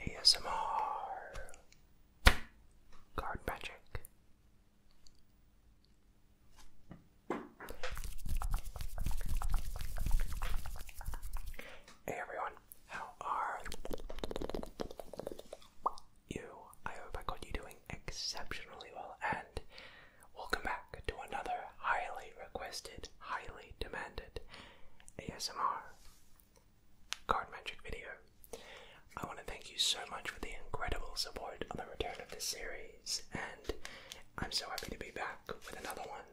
ASMR Card Magic. Hey everyone, how are you? I hope I got you doing exceptionally well and welcome back to another highly requested, highly demanded ASMR card magic video. I want to thank you so much for the incredible support on the return of this series, and I'm so happy to be back with another one.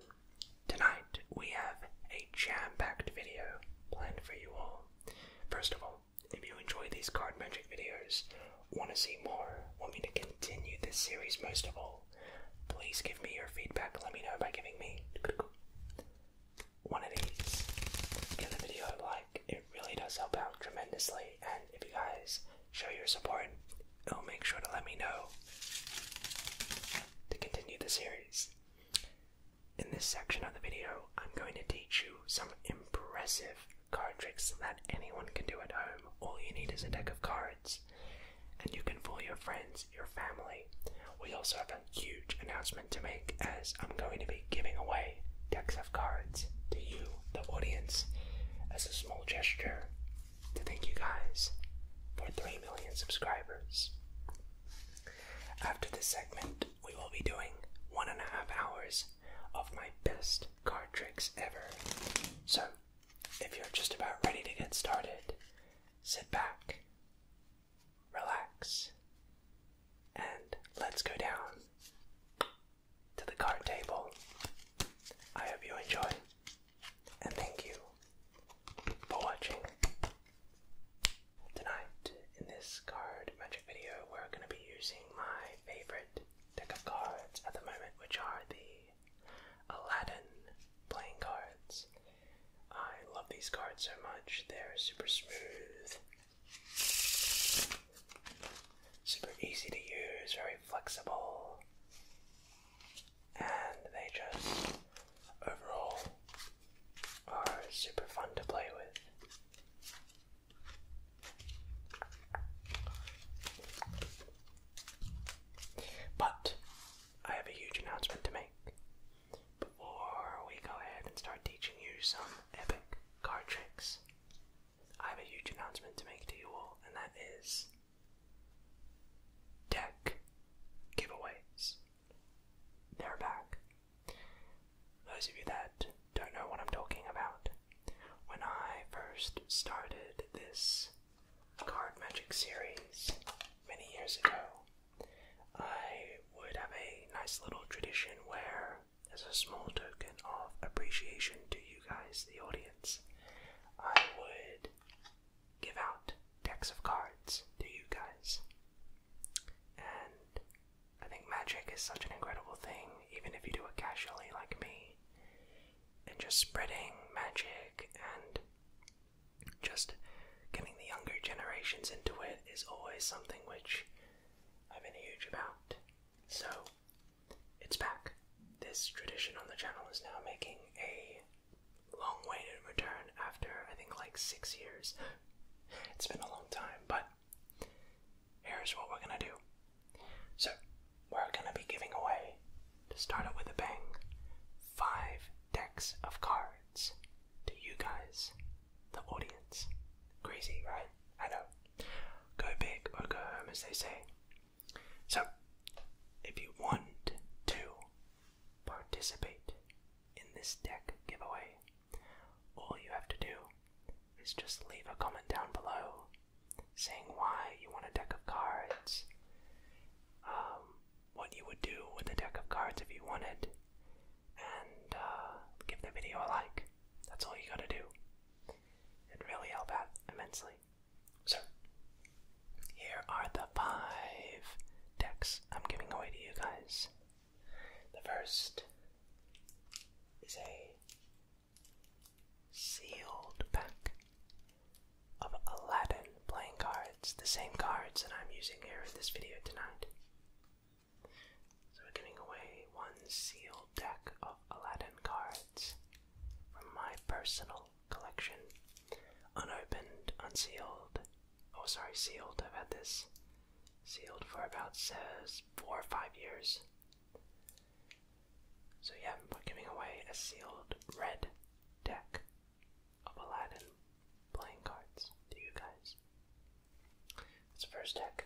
Tonight, we have a jam packed video planned for you all. First of all, if you enjoy these card magic videos, want to see more, want me to continue this series most of all, please give me your feedback. Let me know by giving me one of these in the video. Like, it really does help out tremendously. And if you guys show your support, i oh, will make sure to let me know to continue the series. In this section of the video, I'm going to teach you some impressive card tricks that anyone can do at home. All you need is a deck of cards, and you can fool your friends your family. We also have a huge announcement to make as I'm going to be giving away decks of cards to you, the audience, as a small gesture to thank you guys for 3 million subscribers. After this segment, we will be doing one and a half hours of my best card tricks ever. So, if you're just about ready to get started, sit back, relax, and let's go down to the card table. I hope you enjoy, and thank you for watching. Tonight, in this card magic video, we're going to be using my favorite deck of cards at the moment, which are the Aladdin playing cards. I love these cards so much. They're super smooth, super easy to use, very flexible, and they just overall are super fun to play with. But I have a huge announcement to make before we go ahead and start teaching you some epic card tricks, I have a huge announcement to make to you all, and that is deck giveaways. They're back. Those of you that don't know what I'm talking about, when I first started this card magic series many years ago, I would have a nice little tradition where, as a small token of appreciation to you guys, the audience, I would give out decks of cards to you guys. And I think magic is such an incredible thing, even if you do it casually like me. And just spreading magic and just getting the younger generations into it is always something which I've been huge about. So it's back. This tradition on the channel is now making a long waited return after I think like six years. It's been a long time, but here's what we're gonna do. So, we're gonna be giving away, to start it with a bang, five decks of cards to you guys, the audience. Crazy, right? I know. Go big or go home, as they say. So, if you want to participate in this deck giveaway, all you have to do is just leave a comment down below saying why you want a deck of cards. Um, what you would do with a deck of cards if you wanted, and uh, give the video a like. That's all you gotta do. it really help out immensely. So, here are the five decks I'm giving away to you guys. The first is a sealed pack of Aladdin playing cards, the same cards that I'm using here in this video tonight. So we're giving away one sealed deck of Aladdin cards from my personal collection. Unopened, unsealed. Oh, sorry, sealed. I've had this sealed for about says four or five years. So yeah, we're giving away a sealed red deck of Aladdin playing cards to you guys. It's the first deck.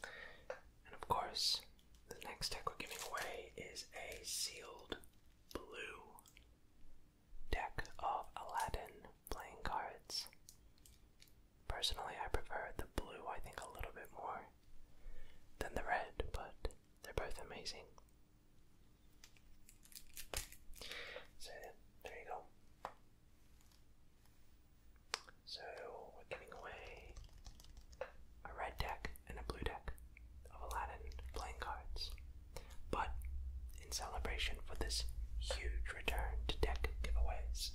And of course, the next deck we're giving away is a sealed blue deck of Aladdin playing cards. Personally, I prefer the blue, I think, a little bit more than the red, but they're both amazing. So there you go. So we're giving away a red deck and a blue deck of Aladdin playing cards. But in celebration for this huge return to deck giveaways,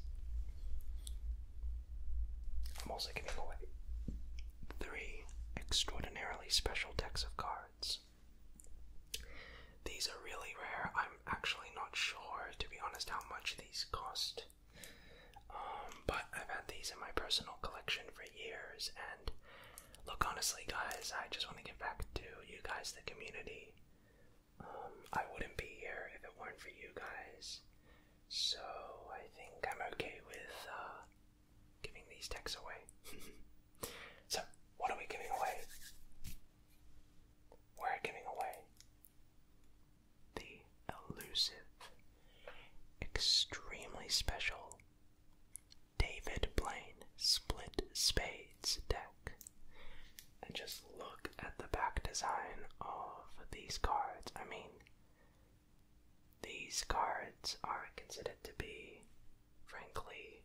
I'm also giving away three extraordinarily special decks of cards. These are really rare. I'm actually not sure, to be honest, how much these cost. Um, but I've had these in my personal collection for years, and look, honestly, guys, I just want to give back to you guys, the community. Um, I wouldn't be here if it weren't for you guys. So I think I'm okay with uh, giving these techs away. So, what are we giving away? We're giving away the elusive, extremely special David Blaine Split Spades deck. And just look at the back design of these cards. I mean, these cards are considered to be, frankly,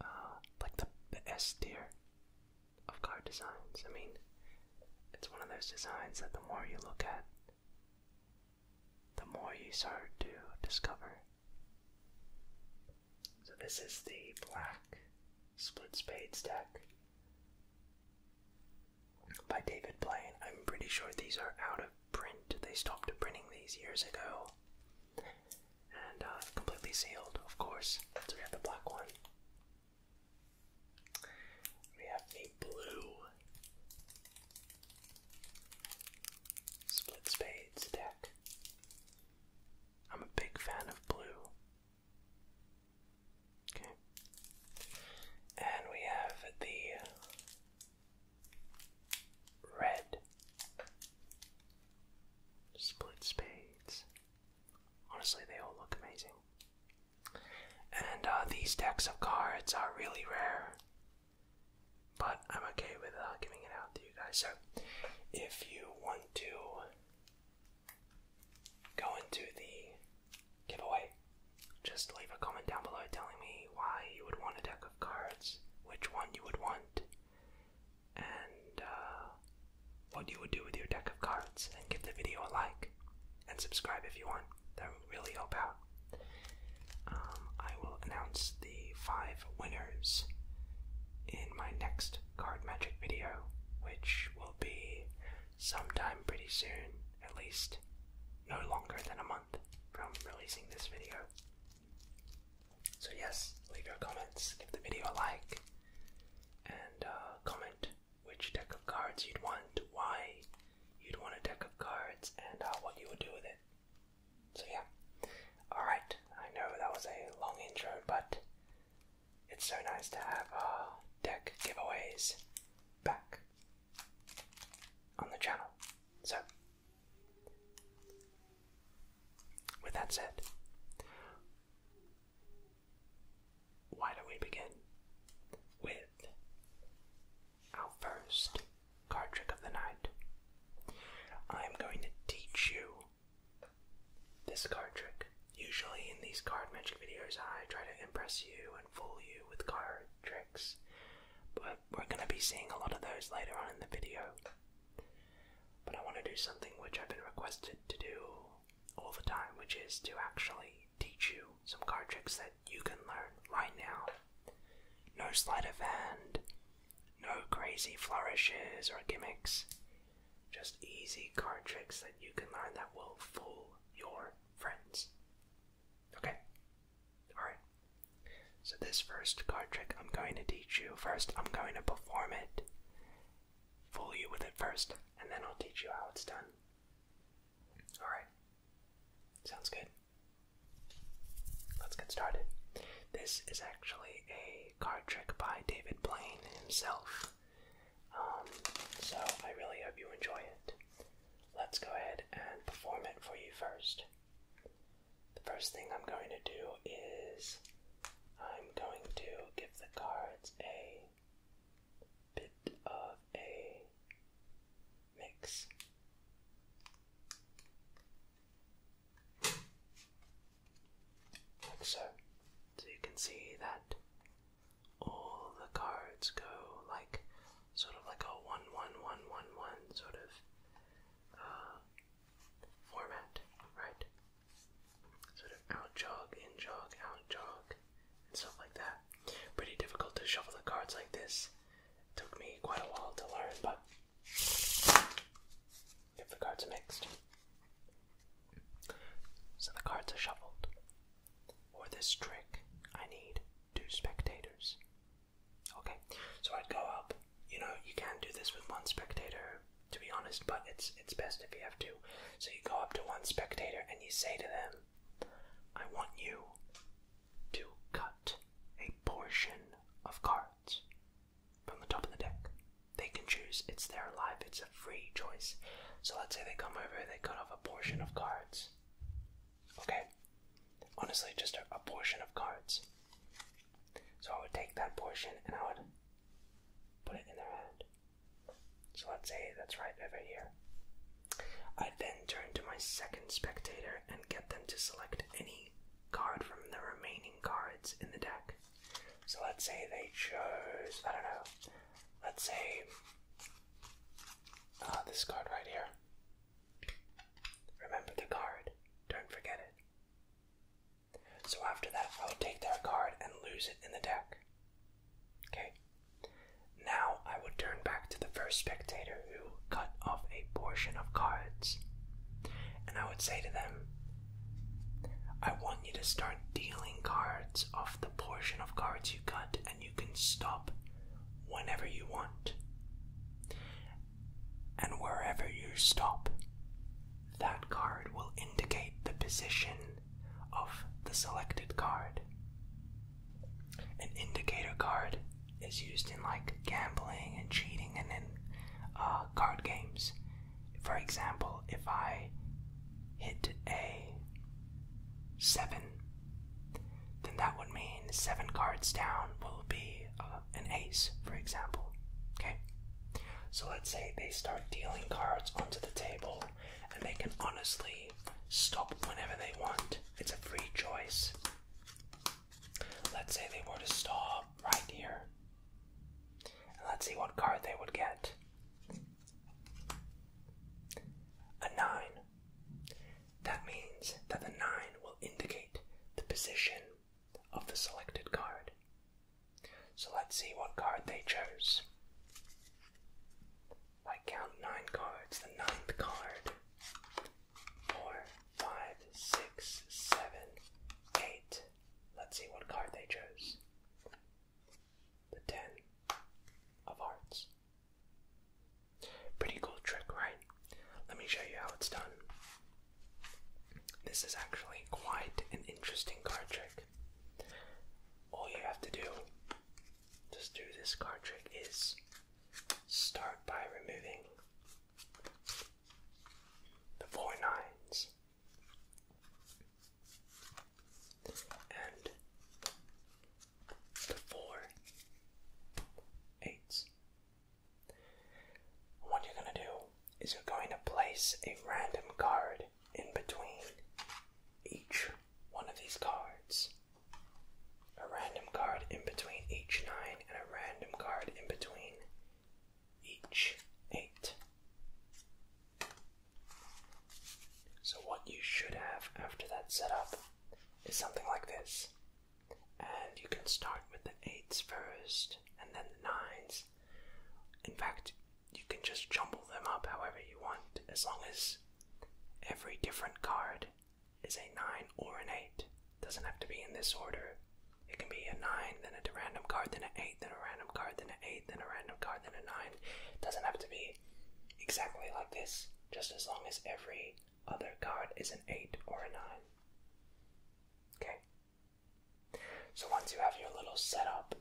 uh, like the, the S tier of card designs. I mean, it's one of those designs that the more you look at, the more you start to discover. So, this is the black split spades deck by David Blaine. I'm pretty sure these are out of print, they stopped printing these years ago and uh, completely sealed, of course. So we have the black one. We have the blue split spades deck. I'm a big fan of blue. Okay. And we have the red Split spades. Honestly, they all look amazing. And uh, these decks of cards are really rare, but I'm okay with uh, giving it out to you guys. So, if you want to go into the giveaway, just leave a comment down below telling me why you would want a deck of cards, which one you would want, and uh, what you would do with your deck of cards, and give the video a like and subscribe if you want. That would really help out. Um, I will announce the five winners in my next card magic video, which will be sometime pretty soon, at least no longer than a month from releasing this video. So, yes, leave your comments, give the video a like, and uh, comment which deck of cards you'd want, why you'd want a deck of cards, and uh, what you would do with it. So, yeah. Alright, I know that was a long intro, but it's so nice to have uh, deck giveaways back on the channel. So, with that said, why don't we begin with our first card trick of the night? I'm going to teach you this card trick. Usually, in these card magic videos, I try to impress you and fool you with card tricks, but we're going to be seeing a lot of those later on in the video. But I want to do something which I've been requested to do all the time, which is to actually teach you some card tricks that you can learn right now. No sleight of hand, no crazy flourishes or gimmicks, just easy card tricks that you can learn that will fool your friends. Okay? Alright. So, this first card trick I'm going to teach you, first I'm going to perform it, fool you with it first, and then I'll teach you how it's done. Alright, sounds good. Let's get started. This is actually a card trick by David Blaine himself. Um, so, I really hope you enjoy it. Let's go ahead and perform it for you first. The first thing I'm going to do is I'm going to give the cards a bit of a mix. Like so. So you can see that all the cards go like sort of like a one one one one one sort of uh, format, right? Sort of out jog, in jog, out jog, and stuff like that. Pretty difficult to shuffle the cards like this. took me quite a while to learn, but if the cards are mixed. So the cards are shuffled. For this trick, I need two spectators. Okay, so I'd go up you know, you can do this with one spectator, to be honest, but it's it's best if you have two. So you go up to one spectator and you say to them, I want you to cut a portion of cards from the top of the deck. They can choose, it's their life, it's a free choice. So let's say they come over and they cut off a portion of cards. Okay? Honestly, just a portion of cards. So I would take that portion and I would put it in their hand. So let's say that's right over here. I then turn to my second spectator and get them to select any card from the remaining cards in the deck. So let's say they chose, I don't know, let's say uh, this card right here. Remember the card, don't forget it. So after that, i would take their card and lose it in the deck. Okay. Now I would turn back to the first spectator who cut off a portion of cards. And I would say to them, I want you to start dealing cards off the portion of cards you cut, and you can stop whenever you want and wherever you stop, that card will indicate the position of the selected card. An indicator card is used in like gambling and cheating and in uh, card games. For example, if I hit a 7, then that would mean 7 cards down will be uh, an ace, for example. Okay, so let's say they start dealing cards onto the table, and they can honestly stop whenever they want. It's a free choice. Let's say they were to stop right here, and let's see what card they would get. A nine. That means that the nine will indicate the position of the selected card. So let's see what card they chose. I count nine cards, the ninth card. Four, five, six, seven, eight. Let's see what card they chose. The ten of hearts. Pretty cool trick, right? Let me show you how it's done. This is actually quite an interesting card trick. All you have to do just do this card trick is start by removing the four nines and the four eights. What you're gonna do is we're going to place a random card in between each one of these cards. A random card in between each 9 and a random card in between each 8. So, what you should have after that setup is something like this. And you can start with the 8s first, and then the 9s, in fact, you can just jumble them up however you want, as long as every different card is a 9 or an 8. Doesn't have to be in this order. It can be a 9, then a random card, then an 8, then a random card, then an 8, then a random card, then a 9. It doesn't have to be exactly like this, just as long as every other card is an 8 or a 9. Okay, so once you have your little setup,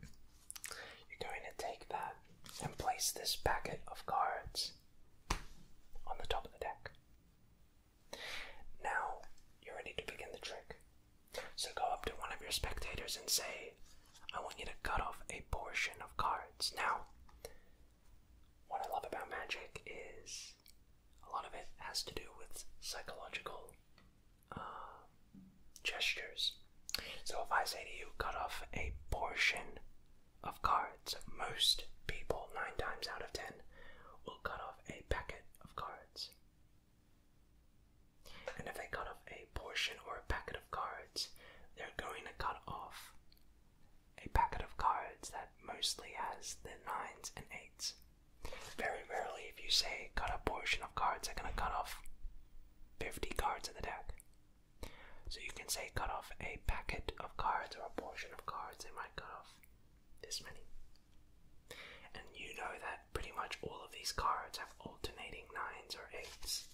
you're going to take that and place this packet of cards on the top of the deck. Now you're ready to begin the trick. So go up to one of your spectators and say, I want you to cut off a portion of cards. Now, what I love about magic is a lot of it has to do with psychological uh, gestures. So if I say to you, cut off a portion of cards, most people, nine times out of ten, will cut off a packet of cards. And if they cut off a portion or a packet of cards, they're going to cut off a packet of cards that mostly has the nines and eights. Very rarely, if you say cut a portion of cards, they're going to cut off 50 cards in the deck. So you can say cut off a packet of cards or a portion of cards, they might cut off this many. And you know that pretty much all of these cards have alternating nines or eights.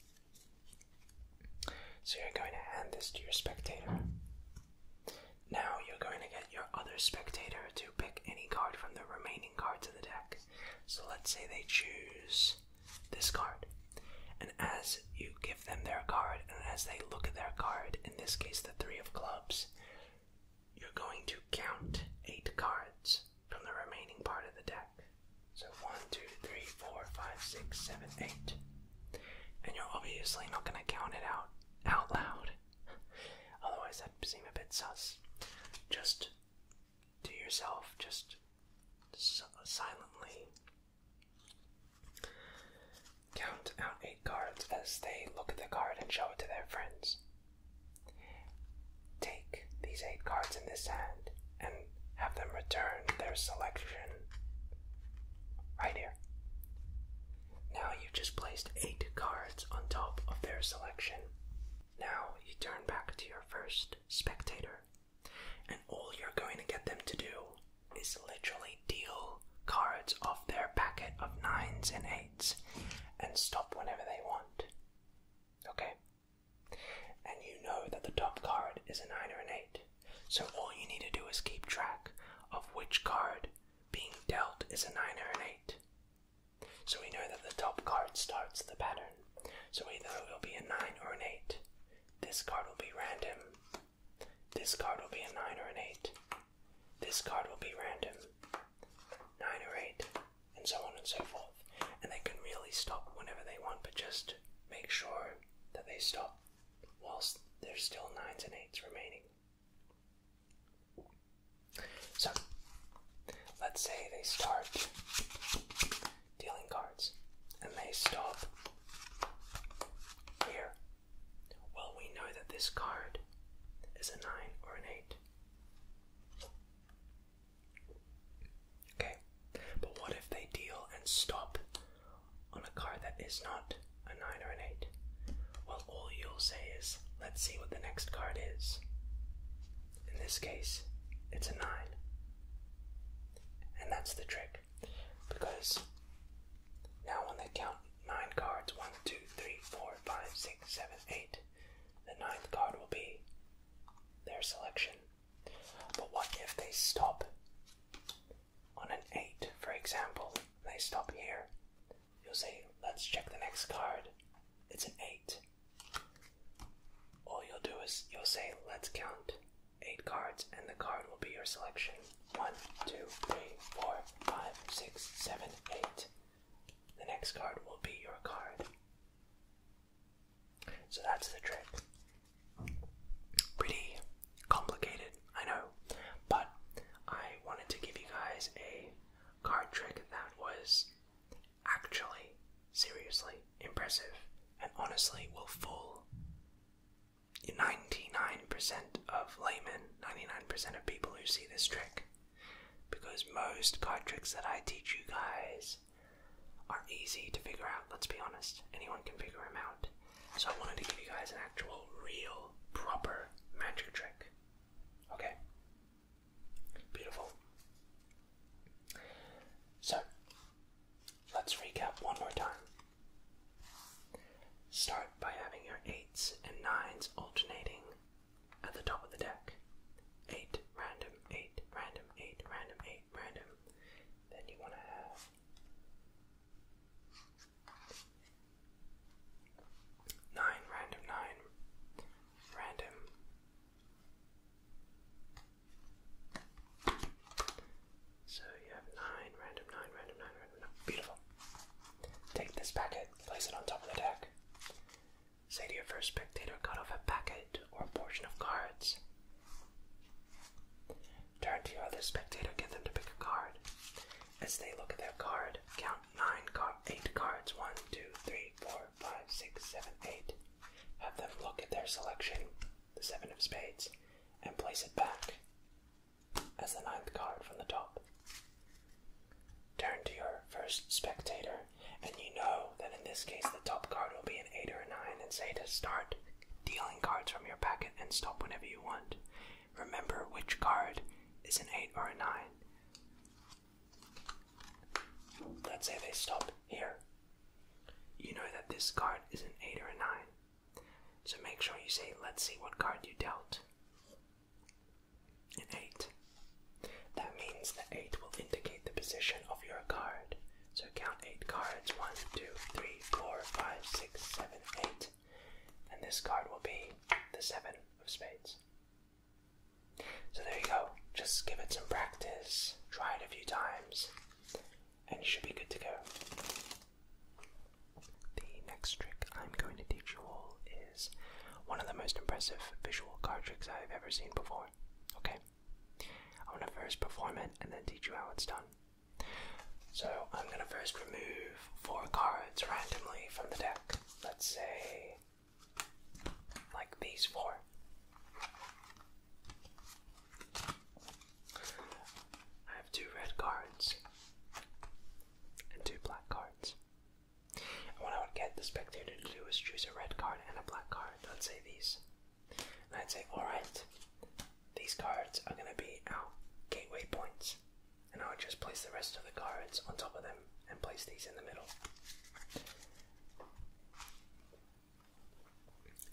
So you're going to hand this to your spectator. Now you're going to get your other spectator to pick any card from the remaining cards in the deck. So let's say they choose this card. And as you give them their card, and as they look at their card, in this case the Three of Clubs, you're going to count eight cards from the remaining part of the deck. So one, two, three, four, five, six, seven, eight. And you're obviously not going to count it out out loud. Otherwise, that'd seem a bit sus. Just do yourself, just silently count out eight cards as they look at the card and show it to their friends. Take these eight cards in this hand and have them return their selection right here. Now you just placed eight cards on top of their selection. Now you turn back to your first spectator, and all you're going to get them to do is literally deal cards off their packet of nines and eights and stop whenever they want. Okay? And you know that the top card is a nine or an eight, so all you need to do is keep track of which card being dealt is a 9 or an 8. So we know that the top card starts the pattern. So either it will be a 9 or an 8. This card will be random. This card will be a 9 or an 8. This card will be random. 9 or 8. And so on and so forth. And they can really stop whenever they want, but just make sure that they stop whilst there's still 9s and 8s remaining. So, let's say they start dealing cards and they stop here. Well, we know that this card is a 9 or an 8. Okay, but what if they deal and stop on a card that is not a 9, or an 8. Well, all you'll say is, let's see what the next card is. In this case, it's a 9. And that's the trick. Because now when they count 9 cards one, two, three, four, five, six, seven, eight, the ninth card will be their selection. But what if they stop on an 8, for example? They stop here You'll say, let's check the next card. It's an 8. All you'll do is you'll say, let's count 8 cards, and the card will be your selection. 1, 2, 3, 4, 5, 6, 7, 8. The next card will be your card. So that's the trick. Pretty complicated, I know, but I wanted to give you guys a card trick that was actually seriously impressive and honestly will fool 99% of laymen, 99% of people who see this trick. Because most card tricks that I teach you guys are easy to figure out, let's be honest. Anyone can figure them out. So I wanted to give you guys an actual, real, proper magic trick Okay. Beautiful. So, let's recap one more time. Start by having your 8s and 9s alternating at the top of the deck. 8, random, 8, random, 8, random, 8, random. Then you want to have Nine, random nine. Random. So you have nine, random nine, random nine, random Beautiful. Take this packet, place it on top of the deck. Say to your first spectator, cut off a packet or a portion of cards. Turn to your other spectator, get them to pick a card. As they look at their card, count nine car eight cards. One, two, three, four, five, six, seven, eight. Have them look at their selection, the seven of spades, and place it back as the ninth card from the top. Turn to your first spectator, and you know that in this case the top card will be an eight or a nine, and say to start dealing cards from your packet and stop whenever you want remember which card is an 8 or a 9. Let's say they stop here. You know that this card is an 8 or a 9. So make sure you say, let's see what card you dealt. An 8. That means the 8 will indicate the position of your card. So count 8 cards 1, 2, 3, 4, 5, 6, 7, 8. And this card will be the 7 of spades. So there you go. Just give it some practice, try it a few times, and you should be good to go. The next trick I'm going to teach you all is one of the most impressive visual card tricks I've ever seen before. Okay? I'm going to first perform it and then teach you how it's done. So I'm going to first remove four cards randomly from the deck let's say like these four. I have two red cards and two black cards. And what I would get the spectator to do is choose a red card and a black card. Let's say these. And I'd say, alright, these cards are going to be our gateway points and I'll just place the rest of the cards on top of them and place these in the middle.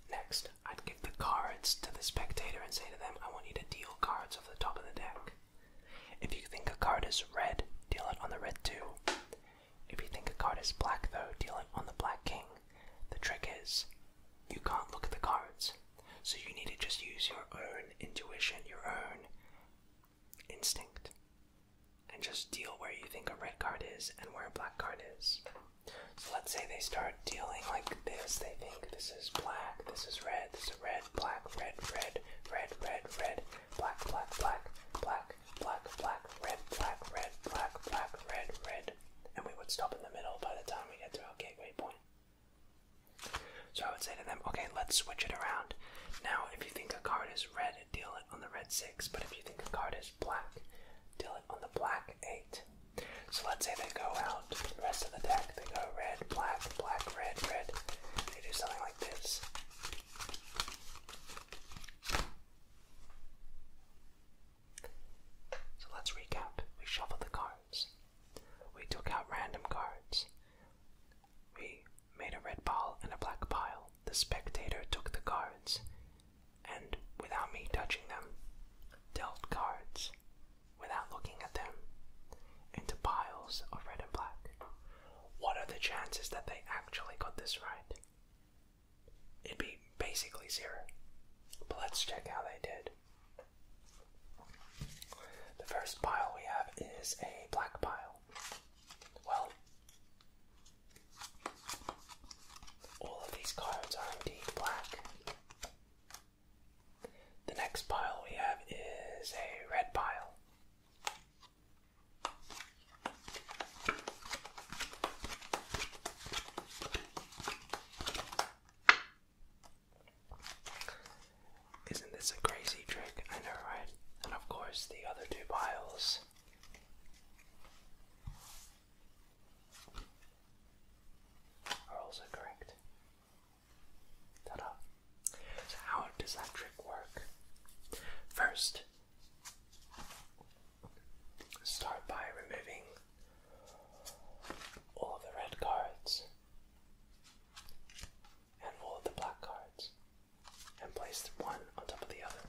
Next, I'd give the cards to the spectator and say to them, I want you to deal cards off the top of the deck. If you think a card is red, deal it on the red 2. If you think a card is black, though, deal it on the black king. The trick is, you can't look at the cards, so you need to just use your own intuition, your own instinct and just deal where you think a red card is and where a black card is. So let's say they start dealing like this. They think this is black, this is red, this is red, black, red, red, red, red, red, black, black, black, black, black, black, red, black, red, black, black, red, red. And we would stop in the middle by the time we get to our gateway point. So I would say to them, okay, let's switch it around. Now, if you think a card is red, deal it on the red 6, but if you think a card is black, deal it on the black 8. So let's say they go out, the rest of the deck, they go red, black, black, red, red. They do something like this. So let's recap. We shuffled the cards. We took out random cards. We made a red ball and a black pile. The spectator took the cards and, without me touching them, dealt cards without looking at them into piles of red and black. What are the chances that they actually got this right? It'd be basically zero. But let's check how they did. The first pile we have is a black pile. Well, all of these cards are indeed black. The next pile we have is a red pile. Isn't this a crazy trick? I know, right? And of course, the other two piles. Are also correct. Ta-da! So how does that trick work? First, start by removing all the red cards and roll the black cards and place one on top of the other.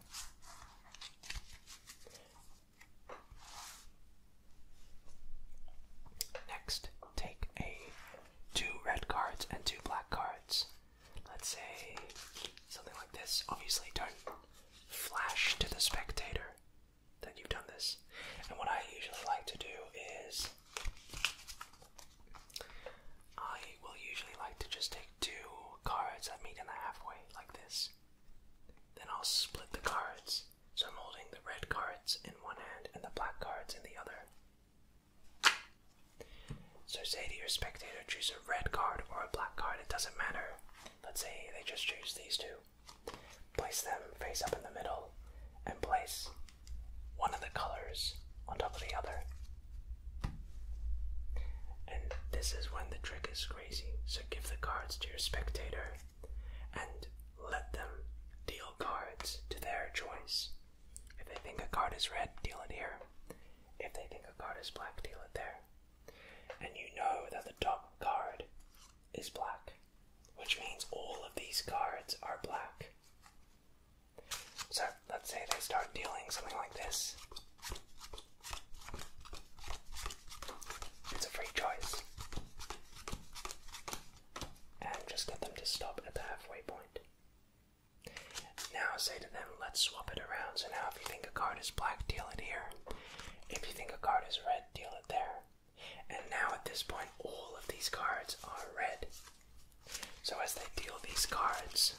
Next, take a two red cards and two black cards. Let's say something like this. Obviously, don't flash to the spectator that you've done this. And what I usually like to do is I will usually like to just take two cards that meet in the halfway, like this. Then I'll split the cards. So I'm holding the red cards in one hand and the black cards in the other. So say to your spectator, choose a red card or a black card, it doesn't matter. Let's say they just choose these two. Place them face up in the middle and place one of the colors on top of the other. And this is when the trick is crazy. So give the cards to your spectator and let them deal cards to their choice. If they think a card is red, deal it here. If they think a card is black, deal it there. And you know that the top card is black, which means all of these cards are black. So let's say they start dealing something like this. It's a free choice. And just get them to stop at the halfway point. Now say to them, let's swap it around. So now if you think a card is black, deal it here. If you think a card is red, deal it there. And now at this point, all of these cards are red. So, as they deal these cards,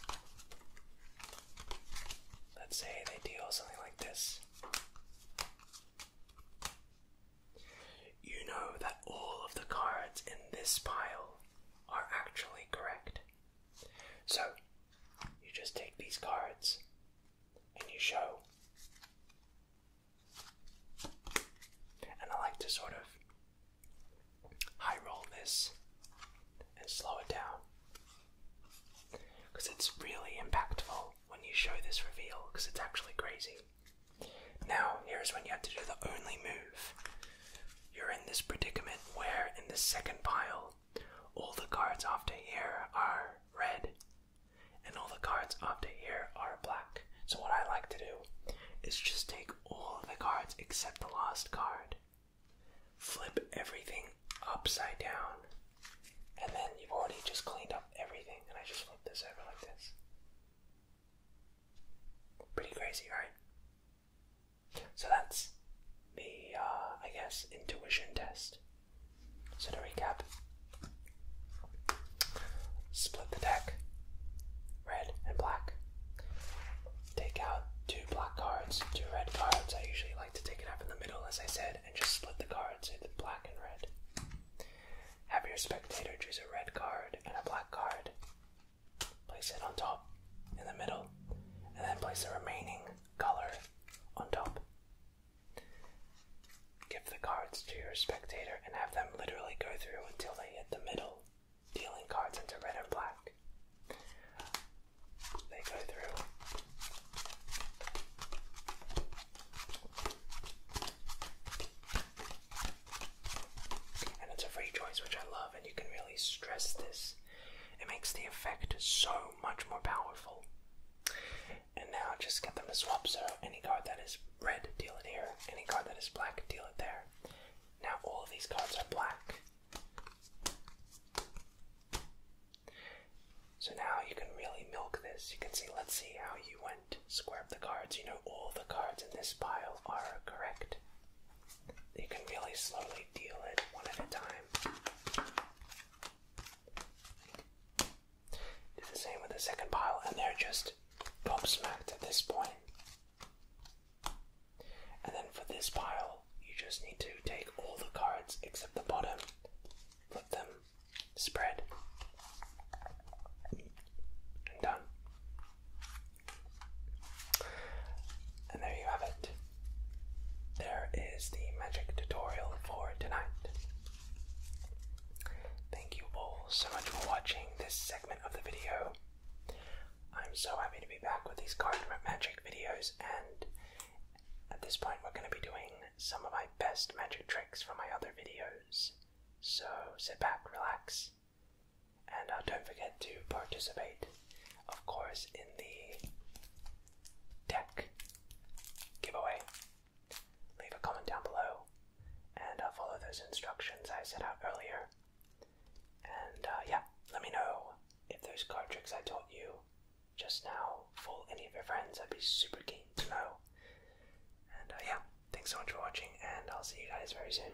let's say they deal something like this. You know that all of the cards in this pile are actually correct. So, you just take these cards and you show. And I like to sort of high roll this and slow it down. Because it's really impactful when you show this reveal, because it's actually crazy. Now, here's when you have to do the only move. You're in this predicament where, in the second pile, all the cards after here are red, and all the cards after here are black. So, what I like to do is just take all the cards except the lost card. Flip everything upside down. And then you've already just cleaned up everything. And I just flip this over like this. Pretty crazy, right? So that's the, uh, I guess, intuition test. So to recap split the deck, red and black take out two black cards, two red cards. I usually like to take it up in the middle, as I said, and just split the cards into black and red. Have your spectator choose a red card and a black card. Place it on top, in the middle, and then place the remaining color on top. Give the cards to your spectator and have them literally go through until they hit the middle dealing cards into red and black. They go through. And it's a free choice, which I love, and you can really stress this. It makes the effect so much more powerful. And now just get them to swap, so any card that is red, deal it here. Any card that is black, deal it there. Now all of these cards are black, so now you can really milk this. You can see, let's see how you went. Square up the cards. You know, all the cards in this pile are correct. You can really slowly deal it one at a time. Do the same with the second pile, and they're just gobsmacked at this point. And then for this pile, you just need to take all the cards except the bottom, flip them, spread, and done. And there you have it. There is the magic tutorial for tonight. Thank you all so much for watching this segment of the video. I'm so happy to be back with these card magic videos, and at this point, we're going to be doing some of my best magic tricks from my other videos. So sit back, relax, and uh, don't forget to participate, of course, in the deck giveaway. Leave a comment down below and uh, follow those instructions I set out earlier. And uh, yeah, let me know if those card tricks I taught you just now fool any of your friends. I'd be super keen to know. And uh, yeah, thanks so much for watching, and I'll see you guys very soon.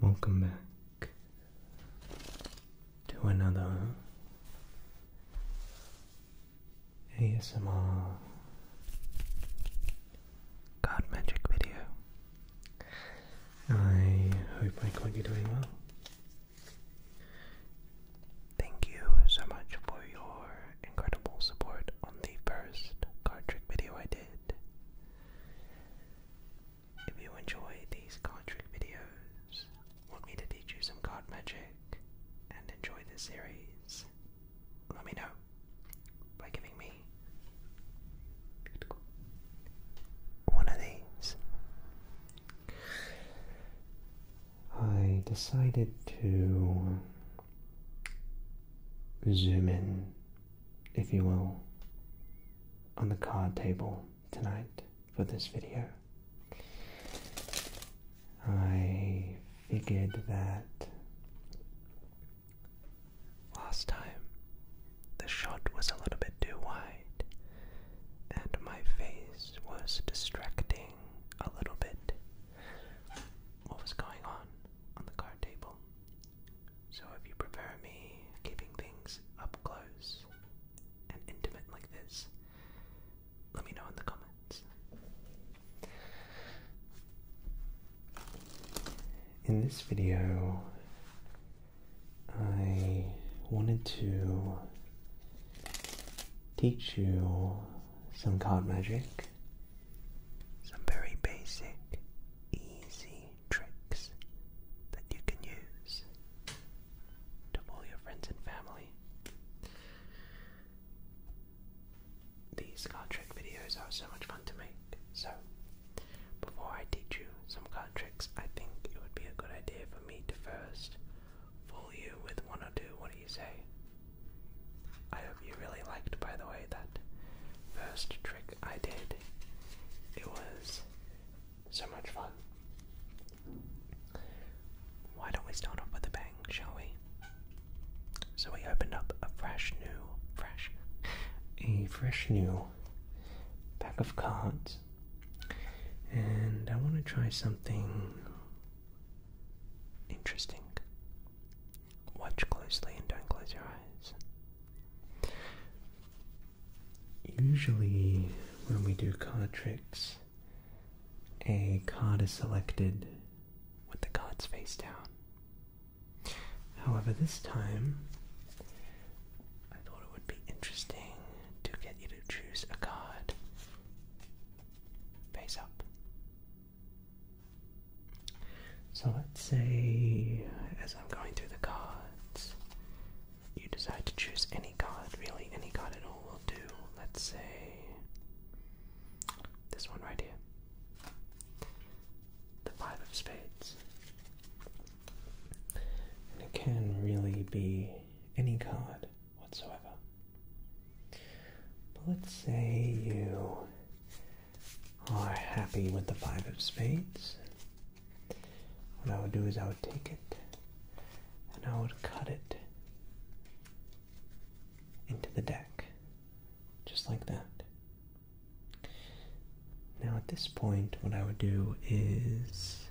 Welcome back to another ASMR card magic video. I hope I got you doing well. Thank you so much for your incredible support on the first card trick video I did. If you enjoy these card trick videos, want me to teach you some card magic, and enjoy this series, let me know by giving me one of these. I decided to zoom in if you will, on the card table tonight for this video. I figured that last time the shot was a little bit too wide and my face was distracting a little bit what was going on on the card table so if you prefer me keeping things up close and intimate like this, let me know in the comments. In this video, I wanted to teach you some card magic, some very basic, easy tricks that you can use to pull your friends and family. These card trick videos are so much fun to make, so before I teach you some card tricks, I think it would be a good idea for me to first fool you with one or two. What do you say? I hope you really liked, by the way, that first trick I did. It was so much fun. Why don't we start off with a bang, shall we? So we opened up a fresh new, fresh, a fresh new pack of cards. And I want to try something interesting. Watch closely and don't close your eyes. Usually, when we do card tricks, a card is selected with the cards face down. However, this time I thought it would be interesting to get you to choose a card face up. So let's say, as I'm going through the cards, you decide to choose any card, really, any card at all will do. Let's say this one right here the Five of Spades. And it can really be any card whatsoever. But let's say you are happy with the five of spades, what I would do is I would take it and I would cut it into the deck, just like that. Now, at this point, what I would do is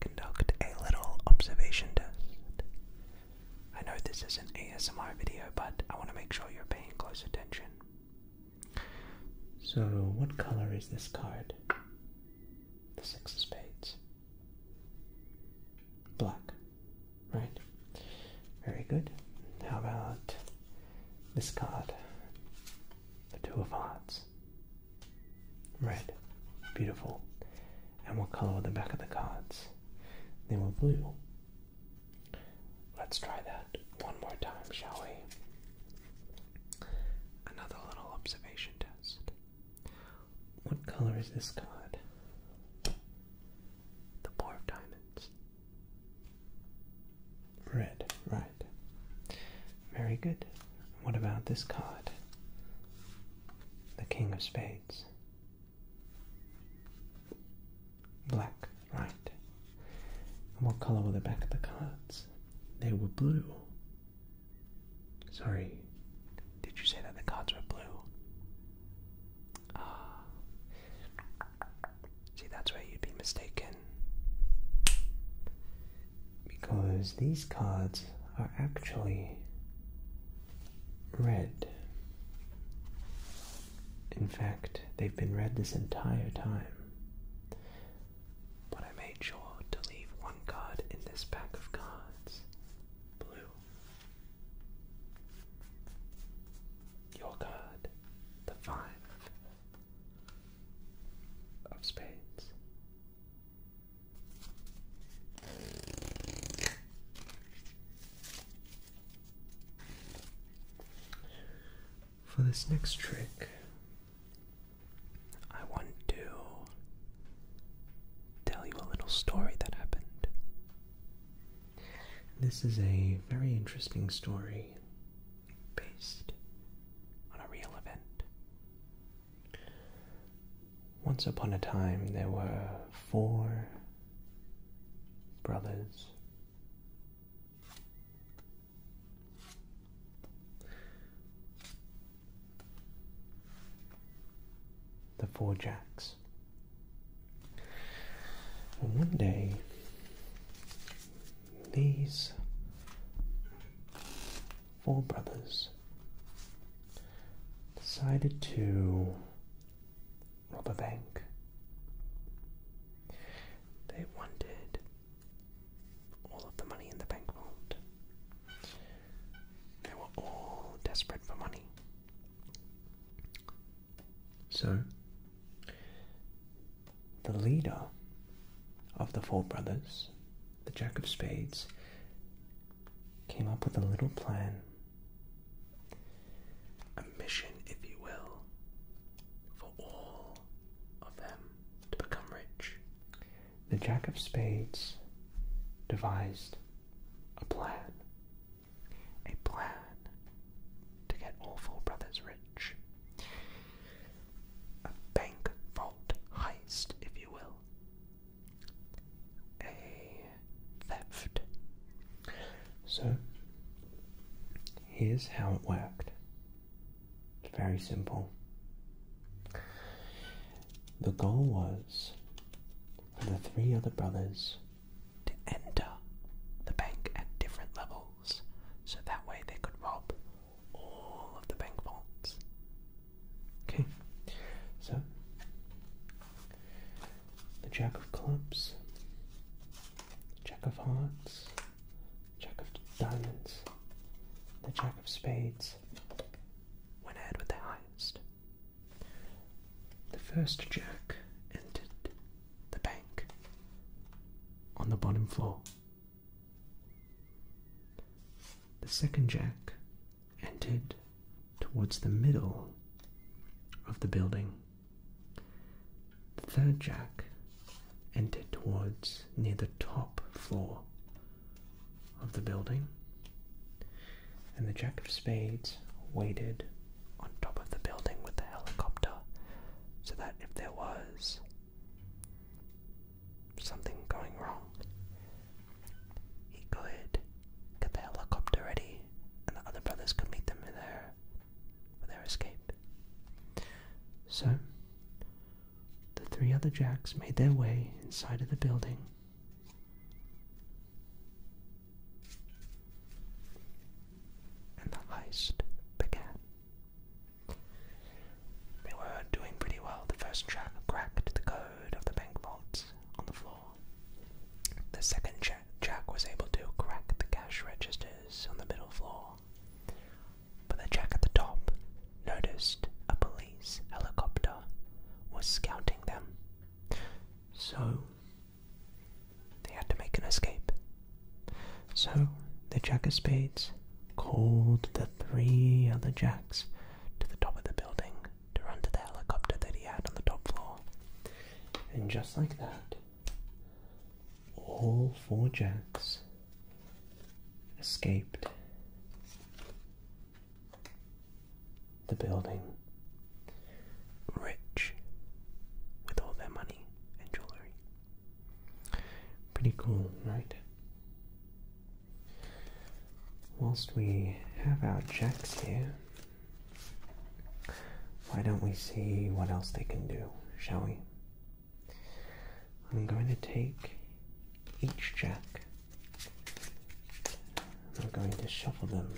conduct a little observation test. I know this is an ASMR video, but I want to make sure you're paying close attention. So, what color is this card? The Six of Spades. Black, right? Very good. How about this card? The Two of Hearts. Red. Beautiful. And what color are the back of the cards? They were blue. Let's try that one more time, shall we? Another little observation test. What color is this card? The Four of Diamonds. Red, right. Very good. What about this card? The King of Spades. Black, right. And what color were the back of the cards? They were blue. Sorry, did you say that the cards were blue? Ah. See, that's where you'd be mistaken. Because these cards are actually red. In fact, they've been red this entire time. But I made sure to leave one card in this pack of cards. Blue. Your card, the five of spades. For this next trick, I want to tell you a little story that happened. This is a very interesting story based on a real event. Once upon a time, there were four brothers the Four Jacks. And one day, these four brothers decided to rob a bank. They wanted all of the money in the bank vault. They were all desperate for money. So, the leader of the four brothers, the Jack of Spades, came up with a little plan, a mission, if you will, for all of them to become rich. The Jack of Spades devised a plan. A plan to get all four brothers rich. A bank vault heist, if you will. A theft. So, here's how it worked. Very simple. The goal was for the three other brothers to enter the bank at different levels so that way they could rob all of the bank vaults. Okay, so the Jack of Clubs, Jack of Hearts, Jack of diamonds, the jack of spades went ahead with the highest. The first jack entered the bank on the bottom floor. The second jack entered towards the middle of the building the third jack entered towards near the top floor of the building, and the jack of spades waited on top of the building with the helicopter so that if there was something going wrong, he could get the helicopter ready and the other brothers could meet them there for their escape. So, the three other jacks made their way inside of the building. And the heist began. They were doing pretty well. The first jack cracked the code of the bank vaults on the floor. The second jack was able to crack the cash registers on the middle floor. But the Jack at the top noticed a police helicopter was scouting them. So they had to make an escape. So the Jack of Spades called the three other Jacks to the top of the building to run to the helicopter that he had on the top floor. And just like that, all four Jacks escaped the building, rich with all their money and jewelry. Pretty cool, right? Whilst we have our jacks here, why don't we see what else they can do, shall we? I'm going to take each jack and I'm going to shuffle them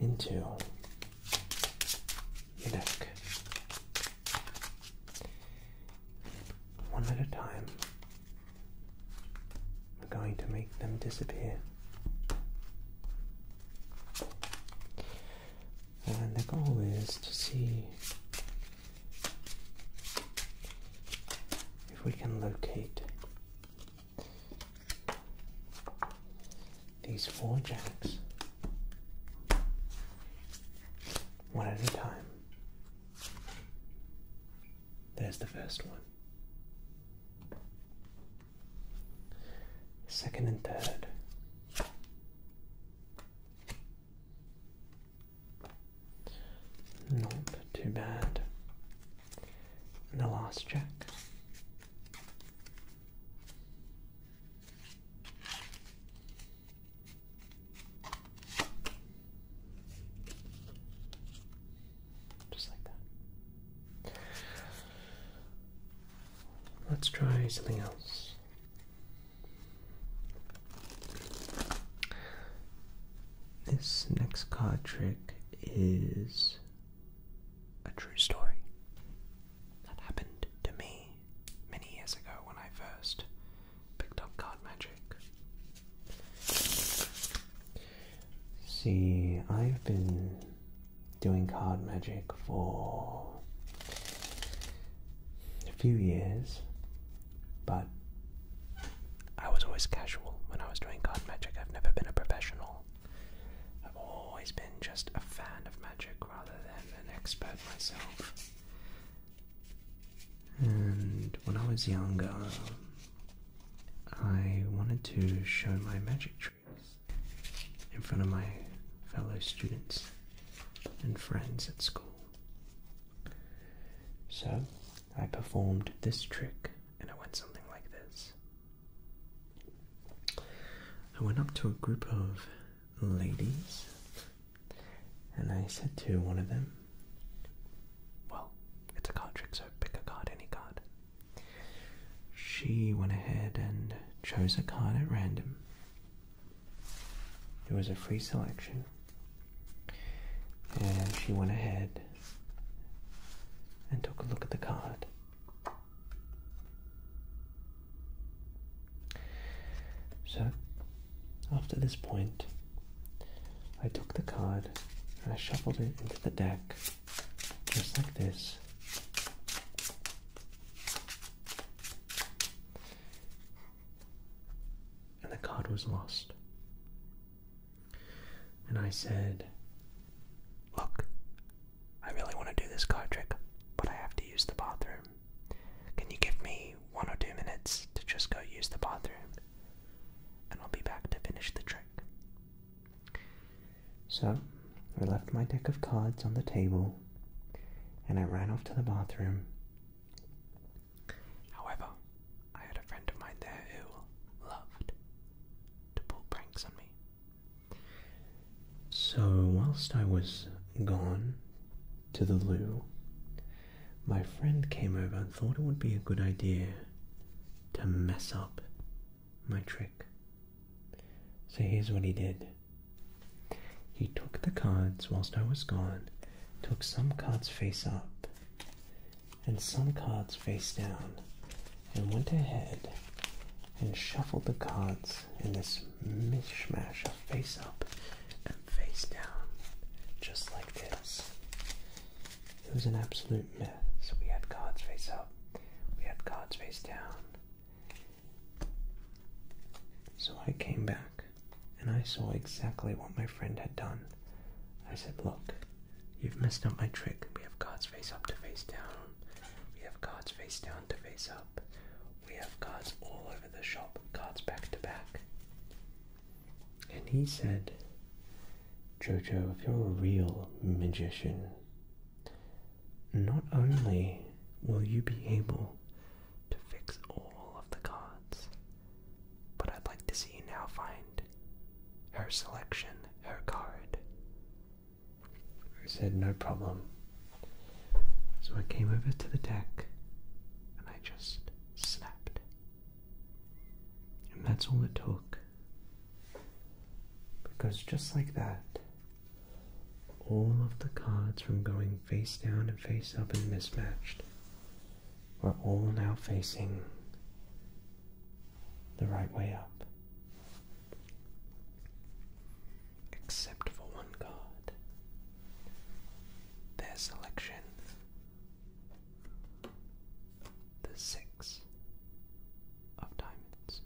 into the deck one at a time. I'm going to make them disappear and the goal is to see if we can locate these four jacks one at a time. There's the first one. Second and third. Not too bad. And the last check. Just like that. Let's try something else. This next card trick is a true story that happened to me many years ago when I first picked up card magic. See, I've been doing card magic for a few years, but I was always casual when I was doing card magic. I've never been a professional. I've always been just a fan of magic rather than an expert myself. And when I was younger, I wanted to show my magic tricks in front of my fellow students and friends at school. So I performed this trick and it went something like this. I went up to a group of ladies and I said to one of them, Well, it's a card trick, so pick a card, any card. She went ahead and chose a card at random there was a free selection, and she went ahead and took a look at the card. So, after this point, I took the card and I shuffled it into the deck just like this and the card was lost. And I said, Look, I really want to do this card trick, but I have to use the bathroom. Can you give me one or two minutes to just go use the bathroom? And I'll be back to finish the trick. So I left my deck of cards on the table and I ran off to the bathroom However, I had a friend of mine there who loved to pull pranks on me. So, whilst I was gone to the loo, my friend came over and thought it would be a good idea to mess up my trick. So, here's what he did he took the cards whilst I was gone, took some cards face up and some cards face down, and went ahead and shuffled the cards in this mishmash of face up and face down, just like this. It was an absolute mess. We had cards face up, we had cards face down, so I came back and I saw exactly what my friend had done. I said, Look, you've messed up my trick. We have cards face up to face down, we have cards face down to face up, we have cards all over the shop, cards back to back. And he said, Jojo, if you're a real magician, not only will you be able to fix all of the cards. But I'd like to see you now find her selection, her card. I said, no problem. So I came over to the deck and I just snapped. And that's all it took. Because just like that, all of the cards from going face down and face up and mismatched. We're all now facing the right way up. Except for one card. Their selection. The six of diamonds.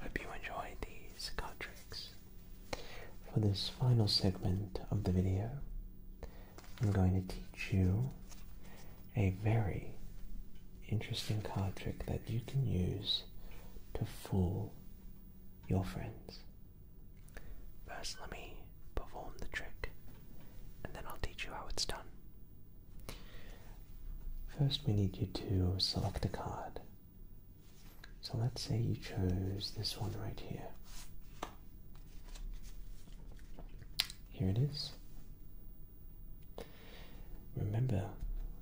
Hope you enjoyed these card tricks. For this final segment of the video, I'm going to teach you a very interesting card trick that you can use to fool your friends. First, let me perform the trick, and then I'll teach you how it's done. First, we need you to select a card. So let's say you chose this one right here. Here it is. Remember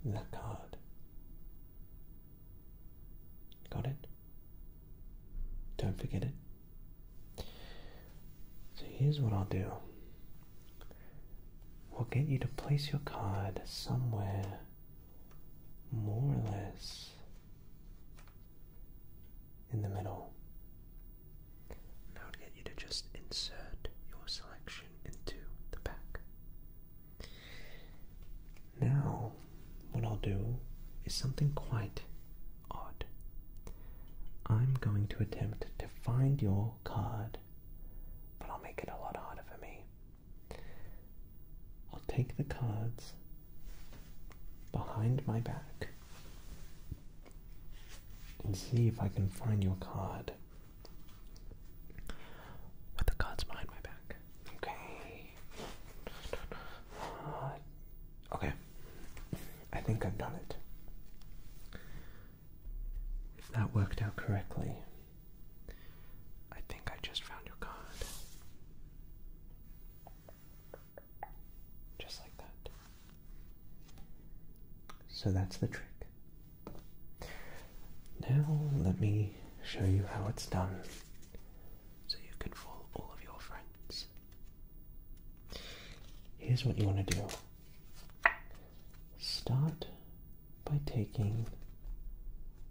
that card. Got it? Don't forget it. So here's what I'll do will get you to place your card somewhere more or less in the middle. And I get you to just insert your selection into the pack. Now, what I'll do is something quite odd. I'm going to attempt to find your card but I'll make it a lot harder for me. I'll take the cards behind my back and see if I can find your card. With the cards behind my back. Okay. Uh, okay. I think I've done it. If that worked out correctly, I think I just found your card. Just like that. So that's the trick. Now, let me show you how it's done so you can fool all of your friends. Here's what you want to do start by taking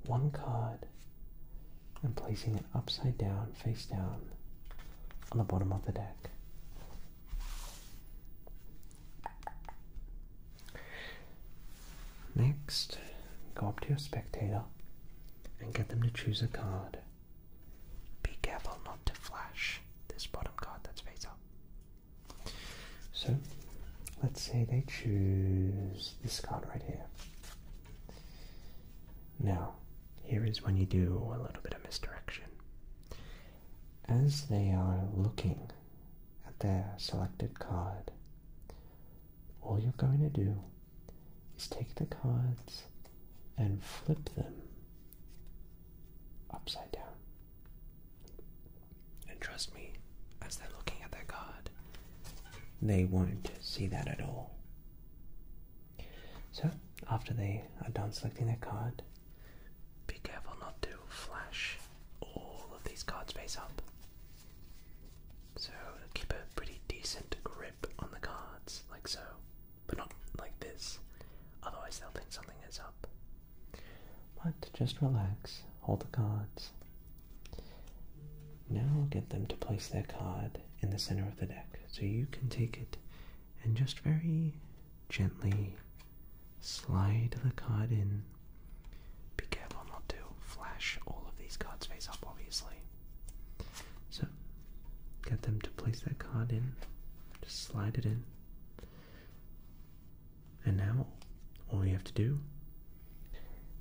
one card and placing it upside down, face down, on the bottom of the deck. Next, go up to your spectator and get them to choose a card. Be careful not to flash this bottom card that's face up. So let's say they choose this card right here. Now, here is when you do a little bit of misdirection. As they are looking at their selected card, all you're going to do is take the cards and flip them upside down. And trust me, as they're looking at their card, they won't see that at all. So, after they are done selecting their card, be careful not to flash all of these cards face up. So, keep a pretty decent grip on the cards, like so, but not like this, otherwise, they'll think something is up. But just relax, hold the cards. Now get them to place their card in the center of the deck. So you can take it and just very gently slide the card in. Be careful not to flash all of these cards face up, obviously. So get them to place their card in, just slide it in. And now, all you have to do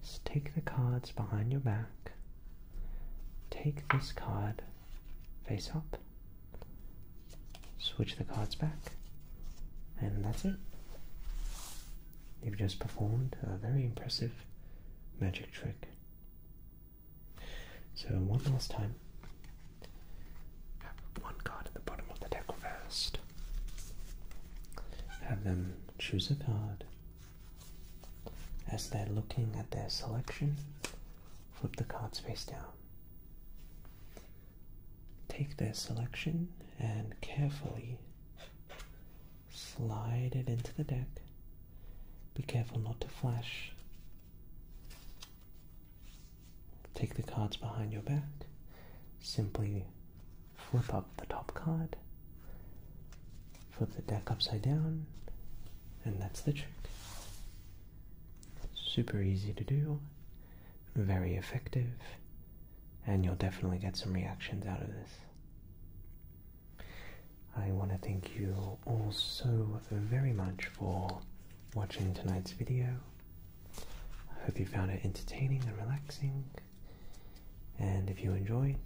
is take the cards behind your back, take this card face up, switch the cards back, and that's it. You've just performed a very impressive magic trick. So, one last time, have one card at the bottom of the deck reversed. Have them choose a card. As they're looking at their selection, flip the cards face down. Take their selection and carefully slide it into the deck. Be careful not to flash take the cards behind your back, simply flip up the top card, flip the deck upside down, and that's the trick. Super easy to do, very effective, and you'll definitely get some reactions out of this. I want to thank you all so very much for watching tonight's video. I hope you found it entertaining and relaxing. And if you enjoyed,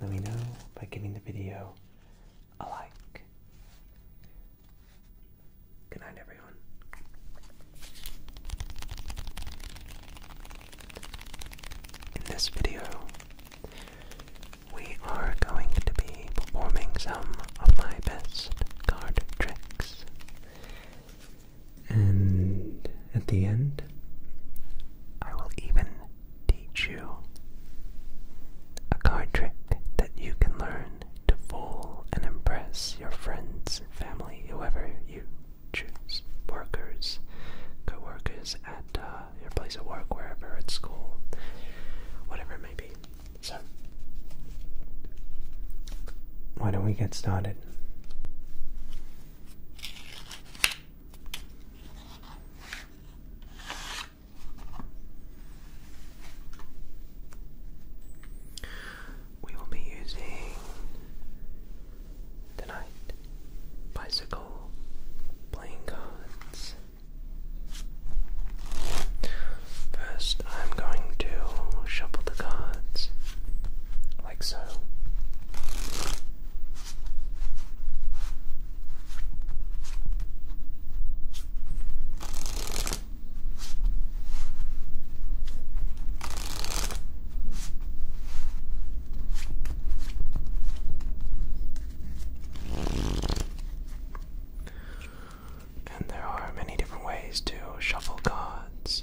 let me know by giving the video a like. Good night, everyone. In this video, we are going to be performing some of my best card tricks. And at the end, I will even teach you a card trick that you can learn to fool and impress your friends, family, whoever you choose. Workers, co workers at uh, your place of work, wherever, at school, whatever it may be. So, why don't we get started? We will be using tonight bicycle playing cards. First, i I'm going to shuffle the cards like so. And there are many different ways to shuffle cards.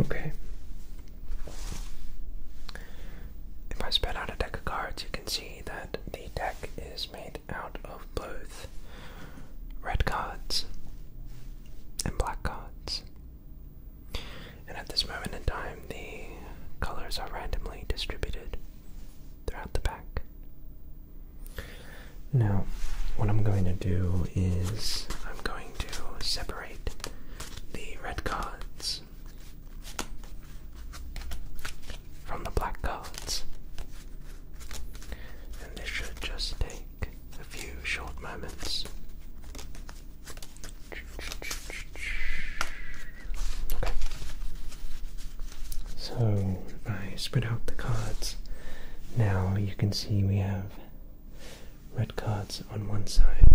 Okay. If I spread out a deck of cards, you can see that the deck is made out of both red cards and black cards. And at this moment in time, the colors are randomly distributed throughout the pack. Now, what I'm going to do is I'm going to separate the red cards from the black cards. And this should just take a few short moments. Okay. So I spread out the cards, now you can see we have red cards on one side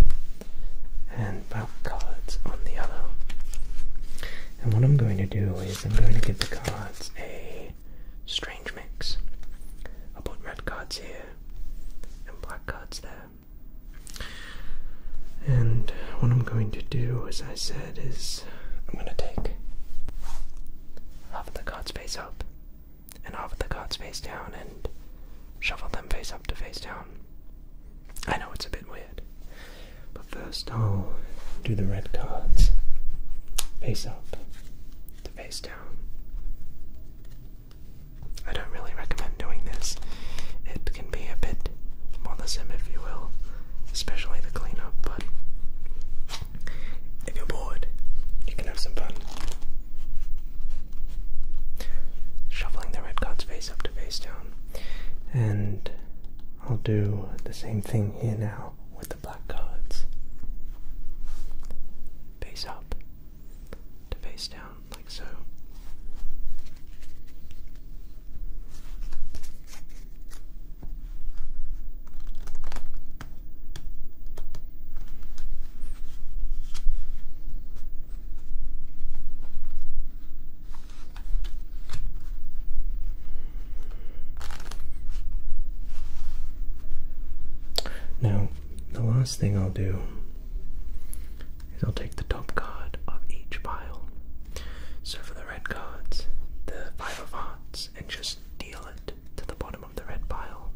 and black cards on the other. And what I'm going to do is I'm going to give the cards a strange mix. i put red cards here and black cards there. And what I'm going to do, is I said, is I'm gonna take half of the cards face up and half of the cards face down and shuffle them face up to face down. I know it's a bit weird, but first I'll do the red cards face up to face down. I don't really recommend doing this. It can be a bit bothersome, if you will, especially the cleanup, but if you're bored, you can have some fun. Shuffling the red card's face up to face down. And I'll do the same thing here now with the black cards. Face up to face down, like so. Now, the last thing I'll do is I'll take the top card of each pile. So for the red cards, the Five of Hearts and just deal it to the bottom of the red pile.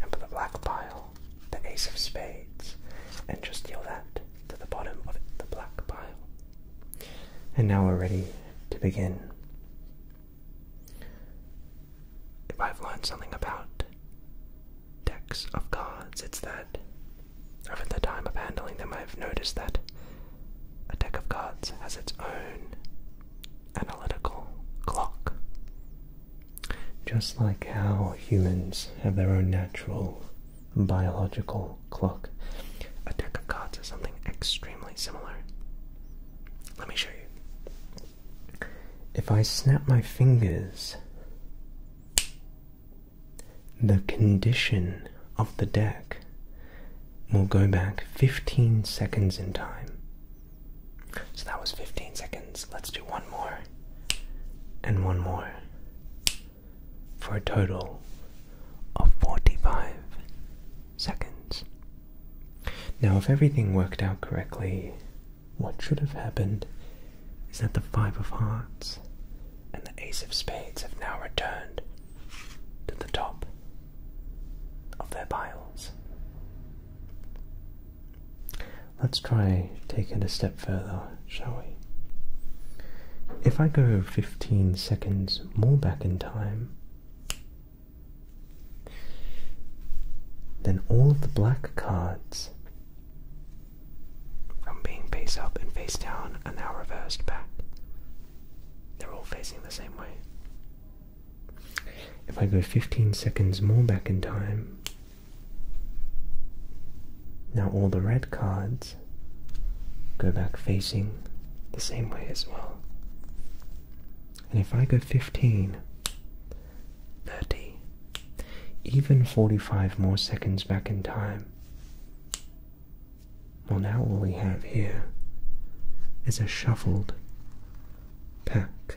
And for the black pile, the ace of spades, and just deal that to the bottom of the black pile. And now we're ready to begin. If I've learned something about decks of cards, it's that over the time of handling them, I've noticed that a deck of cards has its own analytical clock. Just like how humans have their own natural biological clock, a deck of cards is something extremely similar. Let me show you. If I snap my fingers, the condition of the deck will go back 15 seconds in time. So that was 15 seconds. Let's do one more and one more for a total of 45 seconds. Now, if everything worked out correctly, what should have happened is that the Five of Hearts and the Ace of Spades have now returned to the top of their piles. Let's try taking a step further, shall we? If I go 15 seconds more back in time, then all of the black cards from being face up and face down are now reversed back. They're all facing the same way. If I go 15 seconds more back in time, now all the red cards go back facing the same way as well. And if I go 15, 30, even 45 more seconds back in time, well, now all we have here is a shuffled pack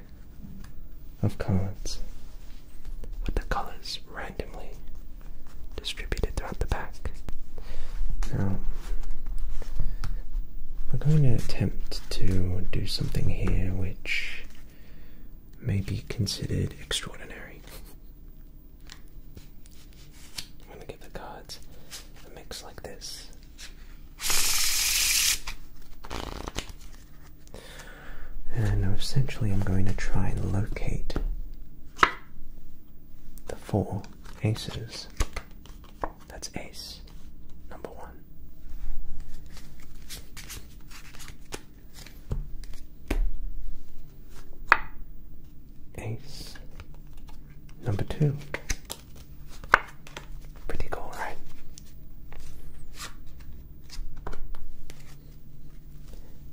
of cards with the colors randomly distributed throughout the pack. Now, we're going to attempt to do something here which may be considered extraordinary. I'm going to give the cards a mix like this. And essentially, I'm going to try and locate the four aces. That's ace number one. Ace number two. Pretty cool, right?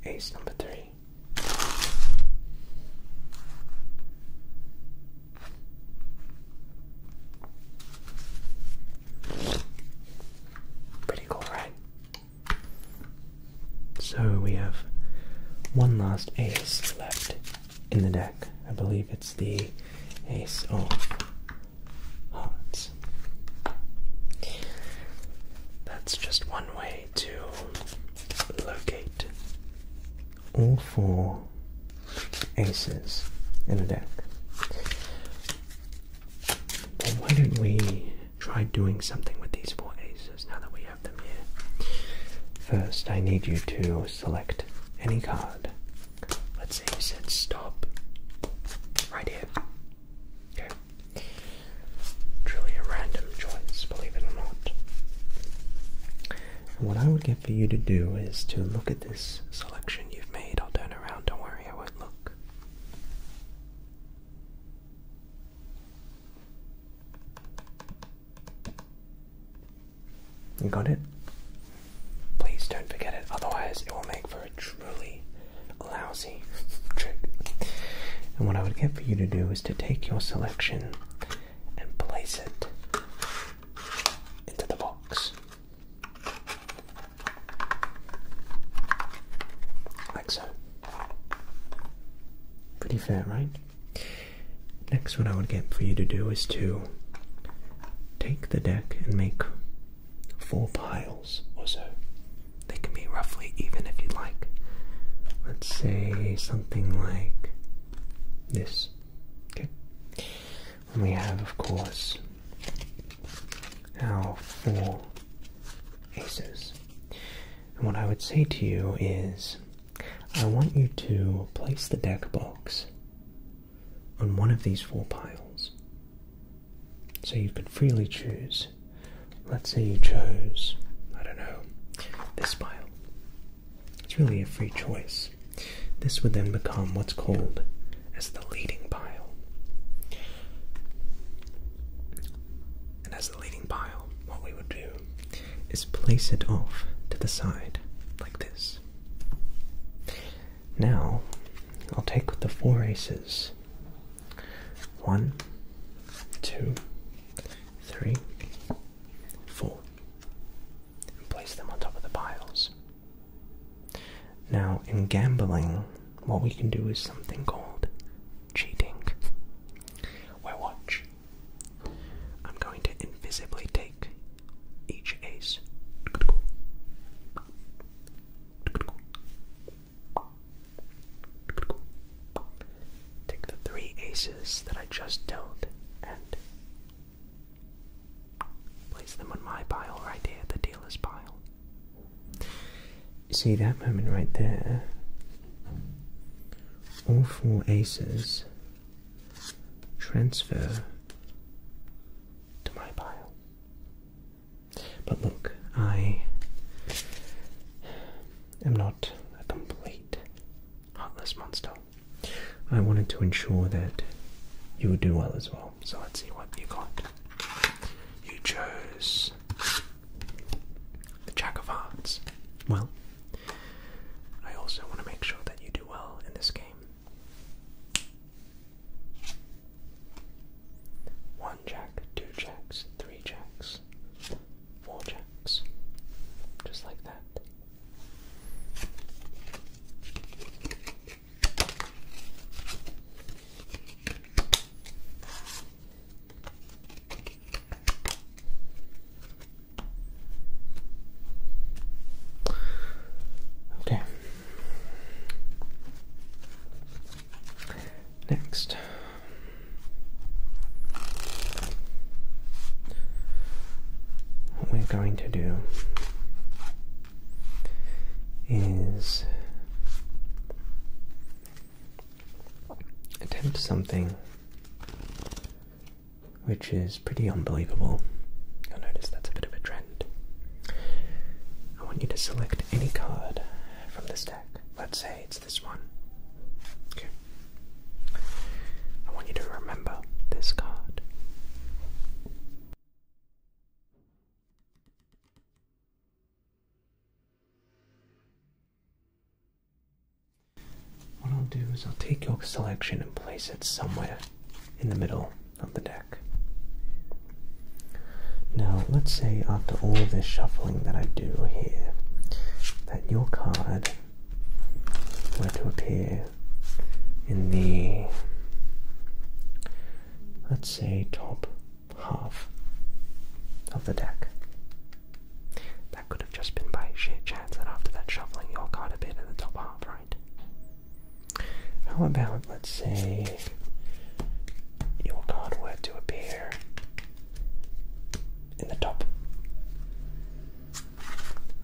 Ace number three. Pretty cool, right? So we have one last ace left in the deck. I believe it's the Ace of Hearts. That's just one way to locate all four aces in a deck. why don't we try doing something with these four aces now that we have? First, I need you to select any card. Let's say you said stop right here. Okay. Truly a random choice, believe it or not. what I would get for you to do is to look at this selection you've made. I'll turn around, don't worry, I won't look. You got it? Please don't forget it, otherwise, it will make for a truly lousy trick. And what I would get for you to do is to take your selection and place it into the box. Like so. Pretty fair, right? Next, what I would get for you to do is to take the deck and make four piles or so. They can be roughly even if you like. Let's say something like this. we have, of course, our four aces. And what I would say to you is I want you to place the deck box on one of these four piles. So you could freely choose. Let's say you chose, I don't know, this pile. It's really a free choice. This would then become what's called as the leading pile. And as the leading pile, what we would do is place it off to the side, like this. Now, I'll take the four aces. One, two, three, four. And place them on top of the piles. Now, in gambling, what we can do is something called cheating. Where watch, I'm going to invisibly take each ace. Take the three aces that I just dealt and place them on my pile right here, the dealer's pile. see that moment right there? All four aces transfer to my pile. But look, I am not a complete heartless monster. I wanted to ensure that you would do well as well. So let's see what you got. You chose the Jack of Hearts. Well, I also want to make sure that you do well in this game. One jack, two jacks, three jacks, four jacks. Just like that. Okay. Next. What we're going to do is attempt something which is pretty unbelievable. I will notice that's a bit of a trend. I want you to select any card from this deck. Let's say it's this one. Okay. I want you to remember this card. What I'll do is I'll take your selection and place it somewhere in the middle of the deck. Now, let's say after all this shuffling that I do here, that your card were to appear in the, let's say, top half of the deck have just been by sheer chance that after that shuffling you all got a bit in the top half, right? How about, let's say, your card were to appear in the top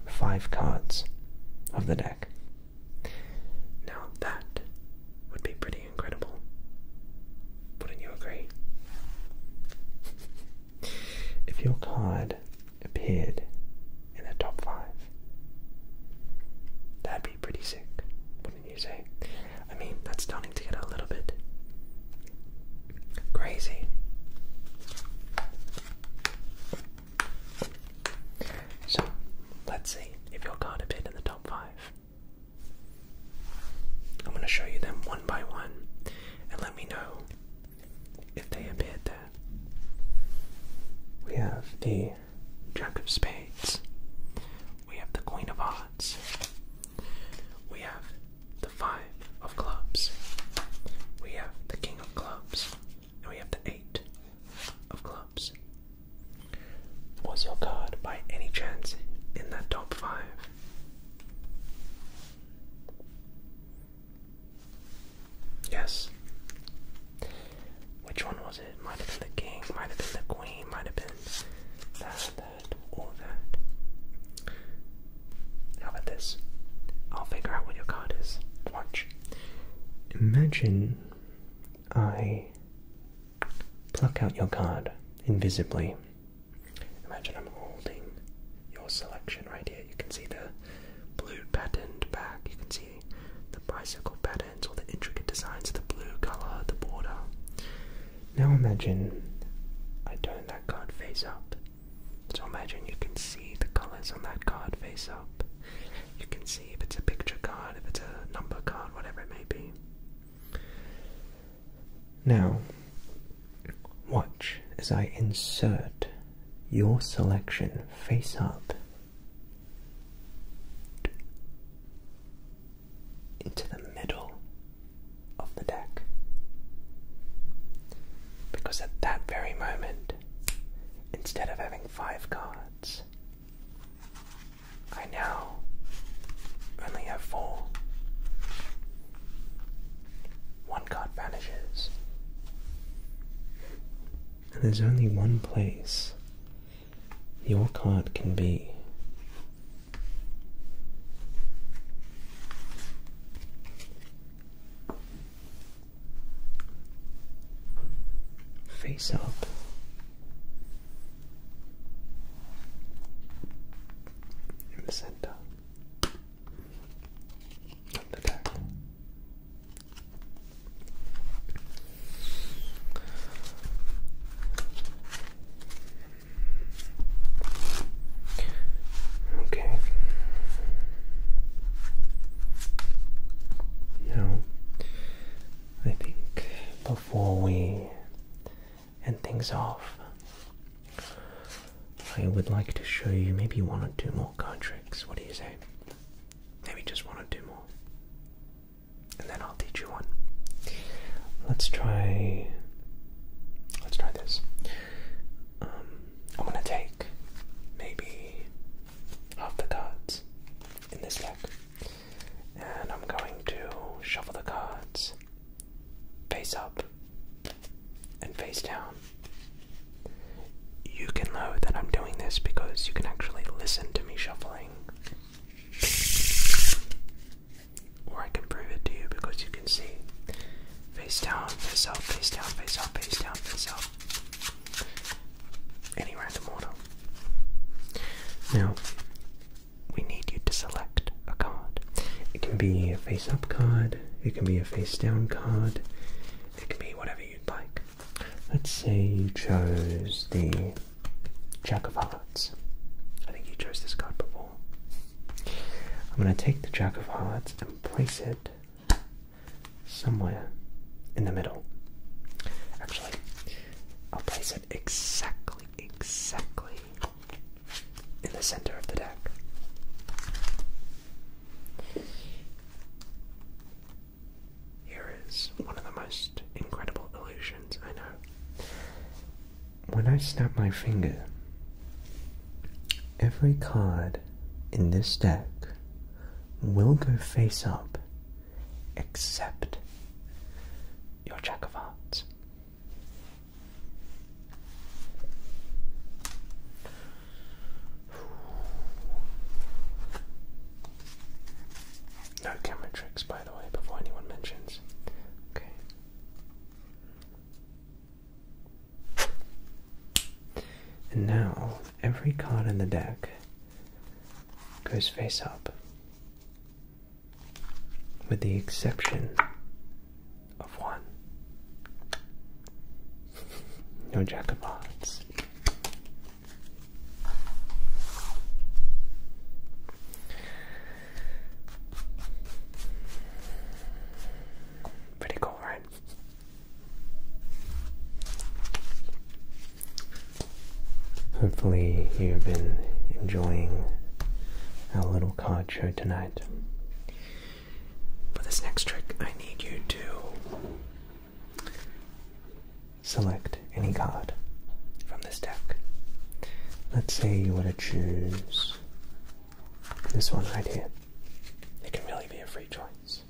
five cards of the deck. Now that would be pretty incredible. Wouldn't you agree? if your card appeared in the top five. That'd be pretty sick, wouldn't you say? I mean, that's starting to get a little bit crazy. So, let's see if your card appeared in the top five. I'm going to show you them one by one and let me know if they appeared there. We have the Jack of Spades. We have the Queen of Hearts. We have the Five of Clubs. We have the King of Clubs. And we have the Eight of Clubs. Was your card by any chance in that top five? Yes. Which one was it? Might have been the king, might have been the queen, might have been that, that, or that. How about this? I'll figure out what your card is. Watch. Imagine I pluck out your card invisibly. Imagine I'm holding your selection right here. You can see the blue patterned back, you can see the bicycle patterns all the intricate designs, of the blue colour, the border. Now imagine I turn that card face up. So imagine you can see the colours on that card face up. You can see if it's a picture card, if it's a number card, whatever it may be. Now, watch as I insert your selection face up into the middle of the deck. Because at that very moment, instead of having five cards, I now only have four. One card vanishes. And there's only one place your card can be. Face up. In the center from the deck. I think before we end things off, I would like to show you maybe one or two more card tricks. What do you say? Maybe just want to do more. And then I'll teach you one. Let's try. Let's try this. Um, I'm gonna take maybe half the cards in this deck, and I'm going to shuffle the cards face up and face down you can know that I'm doing this because you can actually listen to me shuffling. Or I can prove it to you because you can see. Face down, face up, face down, face up, face down, face up. Any random order. Now, we need you to select a card. It can be a face up card, it can be a face down card, it can be whatever you'd like. Let's say you chose the Jack of Hearts. I think you chose this card before. I'm going to take the Jack of Hearts and place it somewhere in the middle. Actually, I'll place it exactly, exactly in the center of the deck. Here is one of the most incredible illusions I know. When I snap my finger, every card in this deck will go face up except your Jack of Hearts. No camera tricks, by the way, before anyone mentions. Okay. And now, every card in the deck goes face up, with the exception of one. No jack of hearts. Pretty cool, right? Hopefully, you've been enjoying our little card show tonight. For this next trick, I need you to Select any card from this deck. Let's say you want to choose this one right here. It can really be a free choice.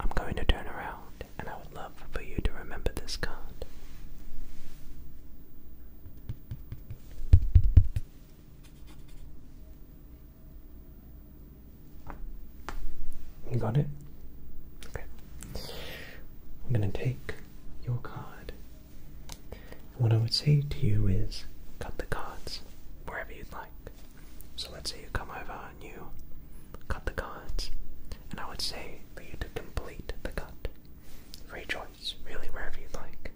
I'm going to turn around and I would love for you to remember this card. You got it? Okay. I'm going to take your card. what I would say to you is cut the cards wherever you'd like. So let's say you come over and you cut the cards. And I would say for you to complete the cut. Free choice, really, wherever you'd like.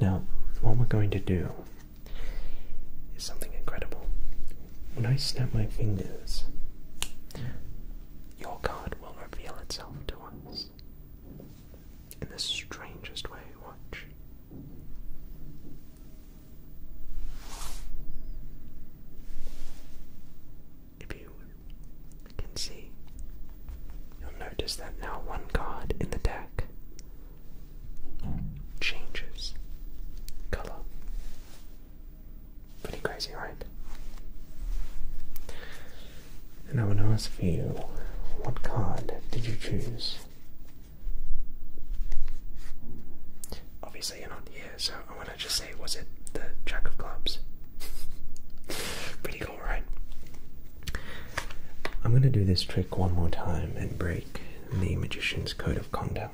Now, what we're going to do is something incredible. When I snap my fingers, your card will reveal itself to us in the strangest way. Watch. If you can see, you'll notice that now one card in the deck changes color. Pretty crazy, right? And I want to ask you what card did you choose? Obviously, you're not here, so I want to just say was it the Jack of Clubs? Pretty cool, right? I'm going to do this trick one more time and break the Magician's Code of Conduct.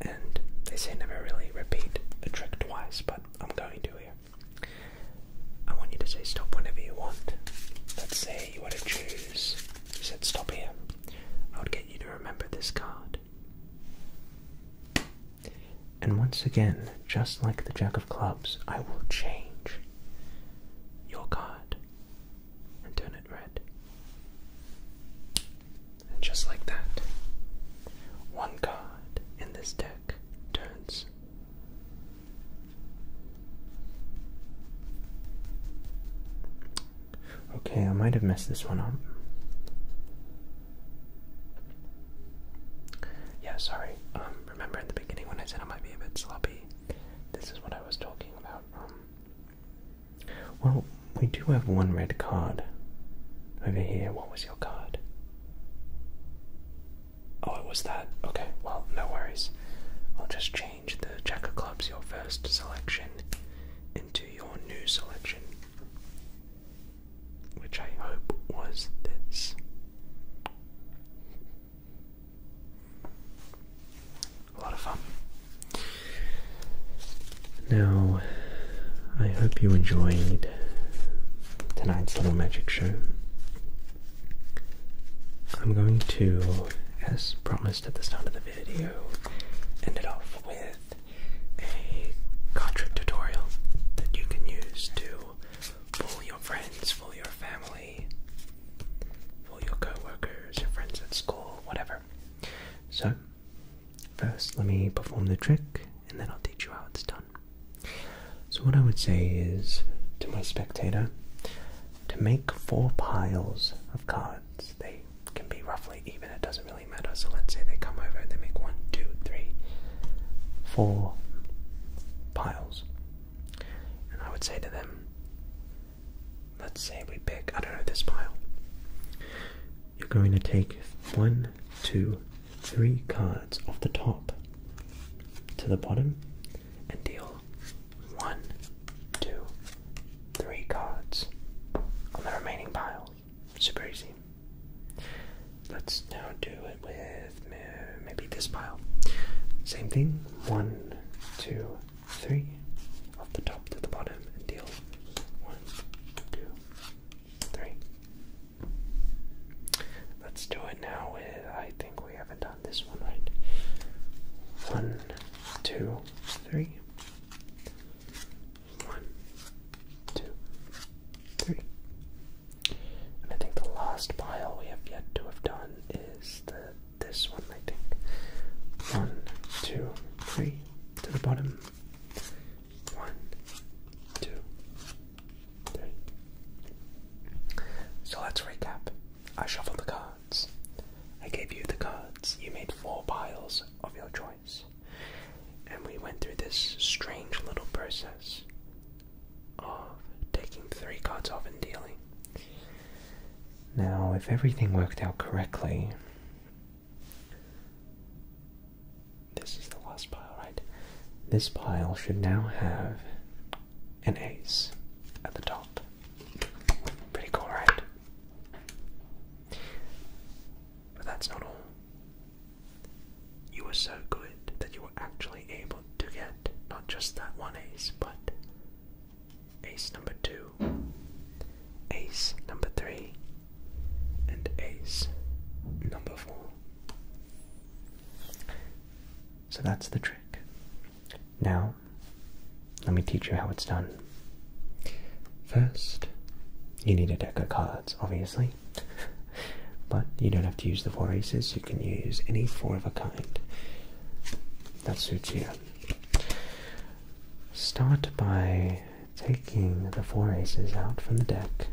And they say never really repeat a trick twice, but I'm going to here. I want you to say stop whenever you want. Let's say you want to choose. You said stop here. I would get you to remember this card. And once again, just like the Jack of Clubs, I will change your card and turn red. And just like that, one card in this deck turns. Okay, I might have messed this one up. Yeah, sorry. Um, remember at the beginning when I said I might be a bit sloppy? This is what I was talking about. Um, well, we do have one red card over here. What was your card? Oh, it was that. Okay, well, no worries. I'll just change the Jack of Clubs, your first selection, into your new selection, which I hope was this a lot of fun. Now, I hope you enjoyed tonight's little magic show. I'm going to, as promised at the start of the video, end it off with a Contra tutorial that you can use to fool your friends, fool your family, fool your coworkers, your friends at school, whatever. So, first let me perform the trick and then I'll teach you how it's done. So, what I would say is to my spectator to make four piles of cards. They can be roughly even, it doesn't really matter. So, let's say they come over and they make one, two, three, four piles. And I would say to them, let's say we pick, I don't know, this pile. You're going to take one, two, three cards off the top to the bottom and deal one, two, three cards on the remaining pile. Super easy. Let's now do it with uh, maybe this pile. Same thing. One, two, three off the top to the bottom and deal one, two, three. Let's do it now. I think we haven't done this one right. One, two, three. One, two, three. And I think the last pile we have yet to have done is the this one, I think. One, two, three, to the bottom. One, two, three. So let's recap. I shuffled the cards. I gave you the cards. You made four piles of your choice. And we went through this strange little process of taking three cards off and dealing. Now, if everything worked out correctly, this is the last pile, right? This pile should now have an ace at the top. Pretty cool, right? But that's not all. You were so good that you were actually able to get not just that one ace, but ace number two, ace number three, and ace number four. So that's the trick. Now, let me teach you how it's done. First, you need a deck of cards, obviously, but you don't have to use the four aces, you can use any four of a kind that suits you. Start by taking the four aces out from the deck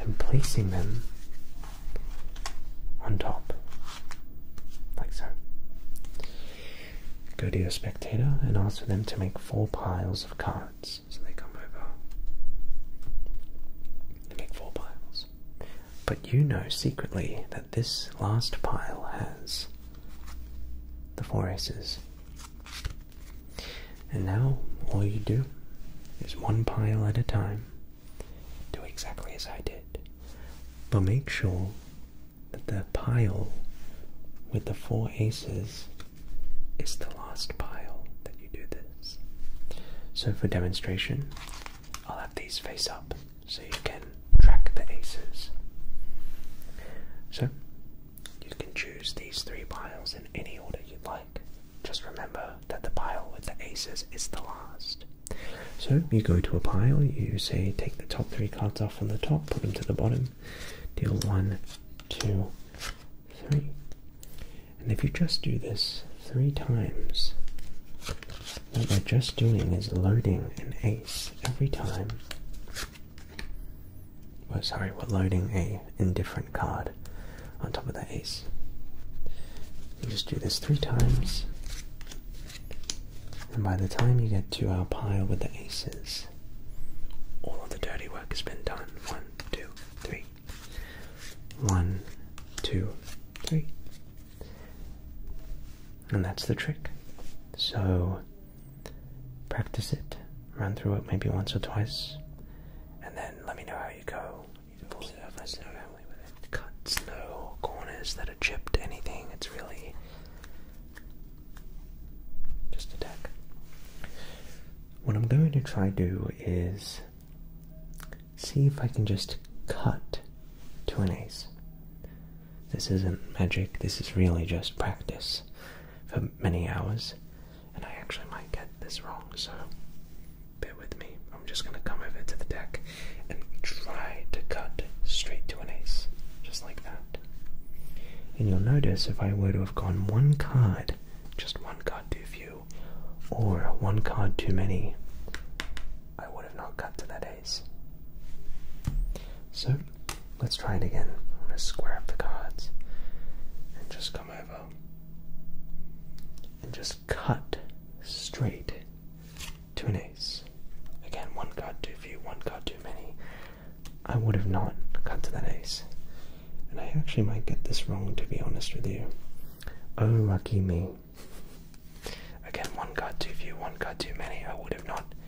and placing them on top, like so. Go to your spectator and ask for them to make four piles of cards. So they come over They make four piles. But you know secretly that this last pile has the four aces. And now all you do is one pile at a time. Do exactly as I did. But make sure that the pile with the four aces is the last pile that you do this. So for demonstration, I'll have these face up so you can track the aces. So you can choose these three piles in any order you'd like. Just remember that the pile with the aces is the last. So you go to a pile, you say take the top three cards off from the top, put them to the bottom, deal one, two, three. And if you just do this three times, what we're just doing is loading an ace every time. Oh, sorry, we're loading a indifferent card on top of the ace. You just do this three times, and by the time you get to our pile with the aces, all of the dirty work has been done. One, two, three. One, two, three. And that's the trick. So practice it, run through it maybe once or twice, and then let me know how you go. You can surface no family with it. Cuts, no corners that are chipped, anything. It's really just a deck. What I'm going to try do is see if I can just cut to an ace. This isn't magic, this is really just practice for many hours. And I actually might get this wrong, so bear with me. I'm just gonna come over to the deck and try to cut straight to an ace, just like that. And you'll notice if I were to have gone one card, just one card too few, or one card too many, I would have not cut to that ace. So let's try it again. I'm going to square up the cards and just come over and just cut straight to an ace. Again, one card too few, one card too many. I would have not cut to that ace. And I actually might get this wrong to be honest with you. Oh, lucky me. Again, one card too few, one card too many. I would have not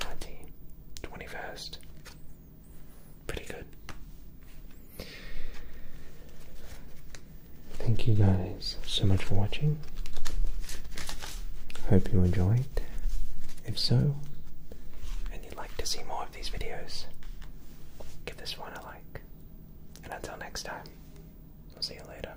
19, 21st. Pretty good. Thank you guys so much for watching. Hope you enjoyed. If so, and you'd like to see more of these videos, give this one a like. And until next time, I'll see you later.